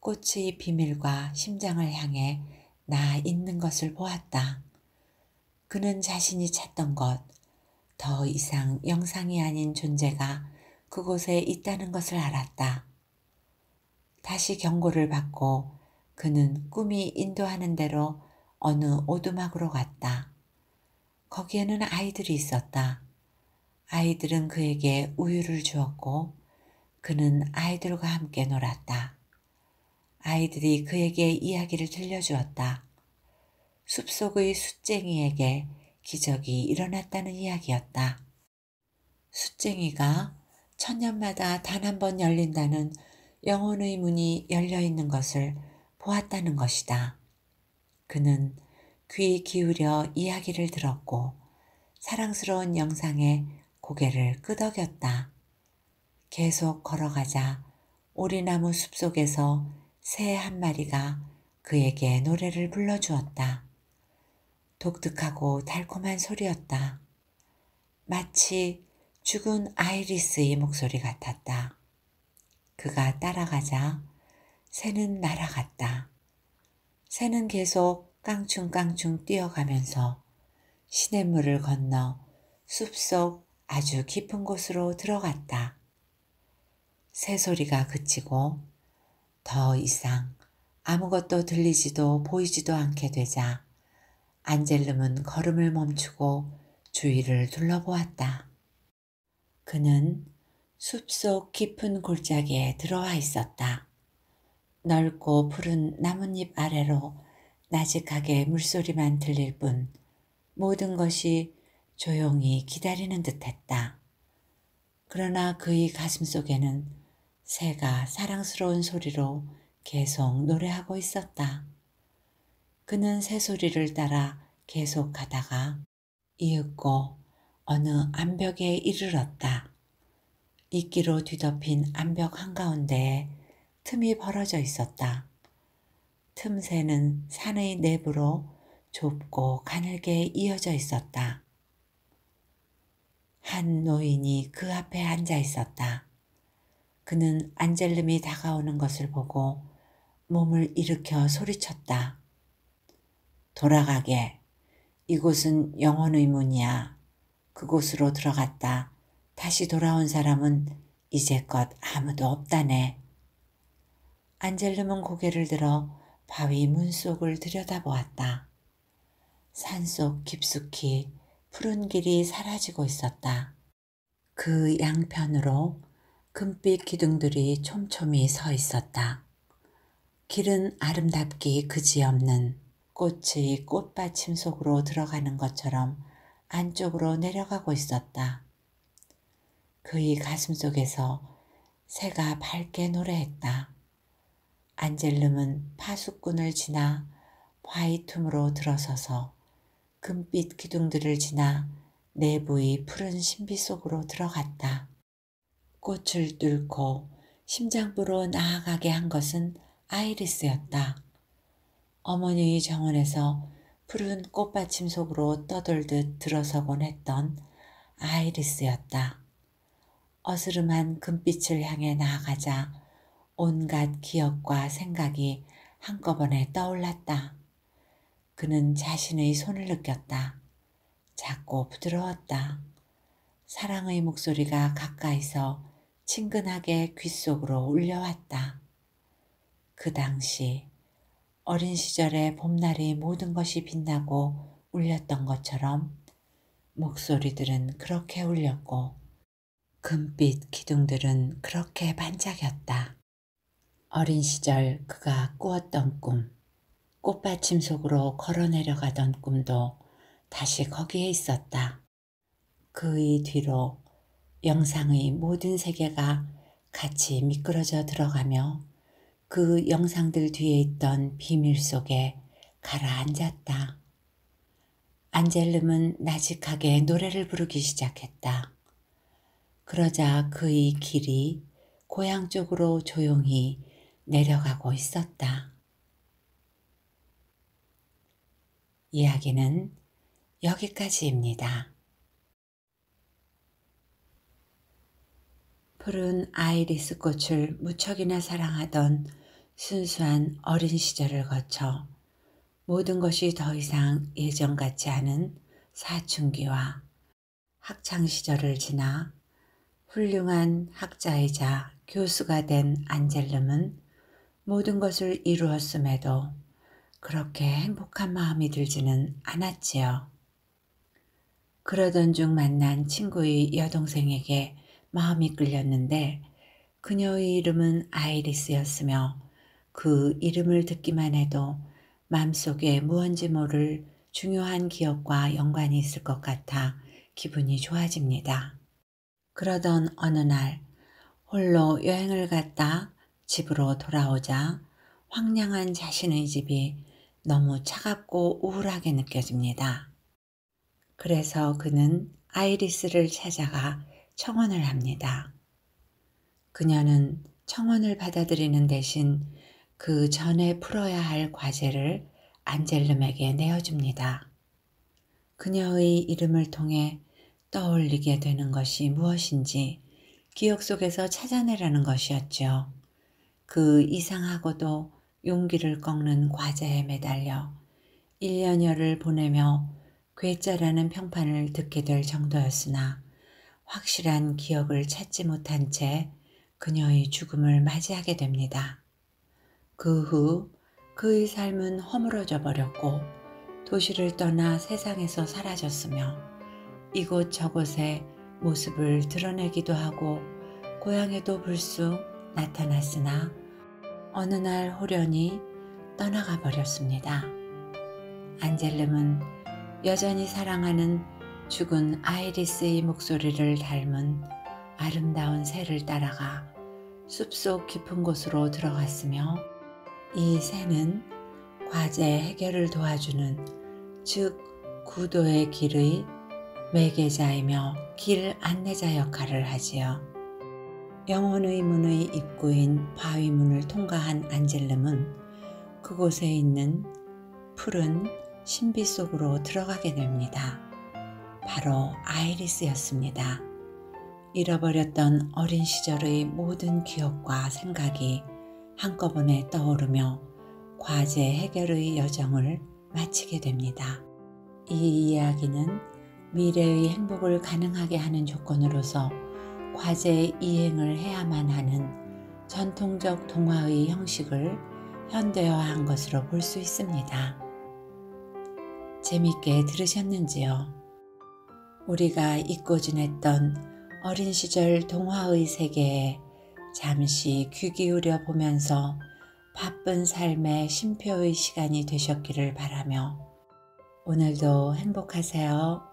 꽃의 비밀과 심장을 향해 나 있는 것을 보았다. 그는 자신이 찾던 것, 더 이상 영상이 아닌 존재가 그곳에 있다는 것을 알았다. 다시 경고를 받고 그는 꿈이 인도하는 대로 어느 오두막으로 갔다. 거기에는 아이들이 있었다. 아이들은 그에게 우유를 주었고 그는 아이들과 함께 놀았다. 아이들이 그에게 이야기를 들려주었다. 숲속의 숫쟁이에게 기적이 일어났다는 이야기였다. 숫쟁이가 천년마다 단 한 번 열린다는 영혼의 문이 열려 있는 것을 보았다는 것이다. 그는 귀 기울여 이야기를 들었고 사랑스러운 영상에 고개를 끄덕였다. 계속 걸어가자 오리나무 숲속에서 새 한 마리가 그에게 노래를 불러주었다. 독특하고 달콤한 소리였다. 마치 죽은 아이리스의 목소리 같았다. 그가 따라가자 새는 날아갔다. 새는 계속 깡충깡충 뛰어가면서 시냇물을 건너 숲 속 아주 깊은 곳으로 들어갔다. 새 소리가 그치고 더 이상 아무것도 들리지도 보이지도 않게 되자 안젤름은 걸음을 멈추고 주위를 둘러보았다. 그는 숲속 깊은 골짜기에 들어와 있었다. 넓고 푸른 나뭇잎 아래로 나직하게 물소리만 들릴 뿐 모든 것이 조용히 기다리는 듯했다. 그러나 그의 가슴 속에는 새가 사랑스러운 소리로 계속 노래하고 있었다. 그는 새 소리를 따라 계속 가다가 이윽고 어느 암벽에 이르렀다. 이끼로 뒤덮인 암벽 한가운데에 틈이 벌어져 있었다. 틈새는 산의 내부로 좁고 가늘게 이어져 있었다. 한 노인이 그 앞에 앉아 있었다. 그는 안젤름이 다가오는 것을 보고 몸을 일으켜 소리쳤다. 돌아가게. 이곳은 영혼의 문이야. 그곳으로 들어갔다. 다시 돌아온 사람은 이제껏 아무도 없다네. 안젤름은 고개를 들어 바위 문 속을 들여다보았다. 산속 깊숙이 푸른 길이 사라지고 있었다. 그 양편으로 금빛 기둥들이 촘촘히 서 있었다. 길은 아름답기 그지없는 꽃이 꽃받침 속으로 들어가는 것처럼 안쪽으로 내려가고 있었다. 그의 가슴 속에서 새가 밝게 노래했다. 안젤름은 파수꾼을 지나 화이툼으로 들어서서 금빛 기둥들을 지나 내부의 푸른 신비 속으로 들어갔다. 꽃을 뚫고 심장부로 나아가게 한 것은 아이리스였다. 어머니의 정원에서 푸른 꽃받침 속으로 떠돌듯 들어서곤 했던 아이리스였다. 어스름한 금빛을 향해 나아가자 온갖 기억과 생각이 한꺼번에 떠올랐다. 그는 자신의 손을 느꼈다. 작고 부드러웠다. 사랑의 목소리가 가까이서 친근하게 귓속으로 울려왔다. 그 당시 어린 시절의 봄날이 모든 것이 빛나고 울렸던 것처럼 목소리들은 그렇게 울렸고 금빛 기둥들은 그렇게 반짝였다. 어린 시절 그가 꾸었던 꿈, 꽃받침 속으로 걸어 내려가던 꿈도 다시 거기에 있었다. 그의 뒤로 영상의 모든 세계가 같이 미끄러져 들어가며 그 영상들 뒤에 있던 비밀 속에 가라앉았다. 안젤름은 나직하게 노래를 부르기 시작했다. 그러자 그의 길이 고향 쪽으로 조용히 내려가고 있었다. 이야기는 여기까지입니다. 푸른 아이리스 꽃을 무척이나 사랑하던 순수한 어린 시절을 거쳐 모든 것이 더 이상 예전 같지 않은 사춘기와 학창 시절을 지나 훌륭한 학자이자 교수가 된 안젤름은 모든 것을 이루었음에도 그렇게 행복한 마음이 들지는 않았지요. 그러던 중 만난 친구의 여동생에게 마음이 끌렸는데 그녀의 이름은 아이리스였으며 그 이름을 듣기만 해도 마음속에 무언지 모를 중요한 기억과 연관이 있을 것 같아 기분이 좋아집니다. 그러던 어느 날 홀로 여행을 갔다 집으로 돌아오자 황량한 자신의 집이 너무 차갑고 우울하게 느껴집니다. 그래서 그는 아이리스를 찾아가 청원을 합니다. 그녀는 청원을 받아들이는 대신 그 전에 풀어야 할 과제를 안젤름에게 내어줍니다. 그녀의 이름을 통해 떠올리게 되는 것이 무엇인지 기억 속에서 찾아내라는 것이었죠. 그 이상하고도 용기를 꺾는 과제에 매달려 1년여를 보내며 괴짜라는 평판을 듣게 될 정도였으나 확실한 기억을 찾지 못한 채 그녀의 죽음을 맞이하게 됩니다. 그 후 그의 삶은 허물어져 버렸고 도시를 떠나 세상에서 사라졌으며 이곳저곳에 모습을 드러내기도 하고 고향에도 불쑥 나타났으나 어느 날 호련히 떠나가 버렸습니다. 안젤름은 여전히 사랑하는 죽은 아이리스의 목소리를 닮은 아름다운 새를 따라가 숲속 깊은 곳으로 들어갔으며 이 새는 과제 해결을 도와주는 즉 구도의 길의 매개자이며 길 안내자 역할을 하지요. 영혼의 문의 입구인 바위문을 통과한 안젤름은 그곳에 있는 푸른 신비 속으로 들어가게 됩니다. 바로 아이리스였습니다. 잃어버렸던 어린 시절의 모든 기억과 생각이 한꺼번에 떠오르며 과제 해결의 여정을 마치게 됩니다. 이 이야기는 미래의 행복을 가능하게 하는 조건으로서 과제의 이행을 해야만 하는 전통적 동화의 형식을 현대화한 것으로 볼 수 있습니다. 재밌게 들으셨는지요? 우리가 잊고 지냈던 어린 시절 동화의 세계에 잠시 귀 기울여 보면서 바쁜 삶의 쉼표의 시간이 되셨기를 바라며 오늘도 행복하세요.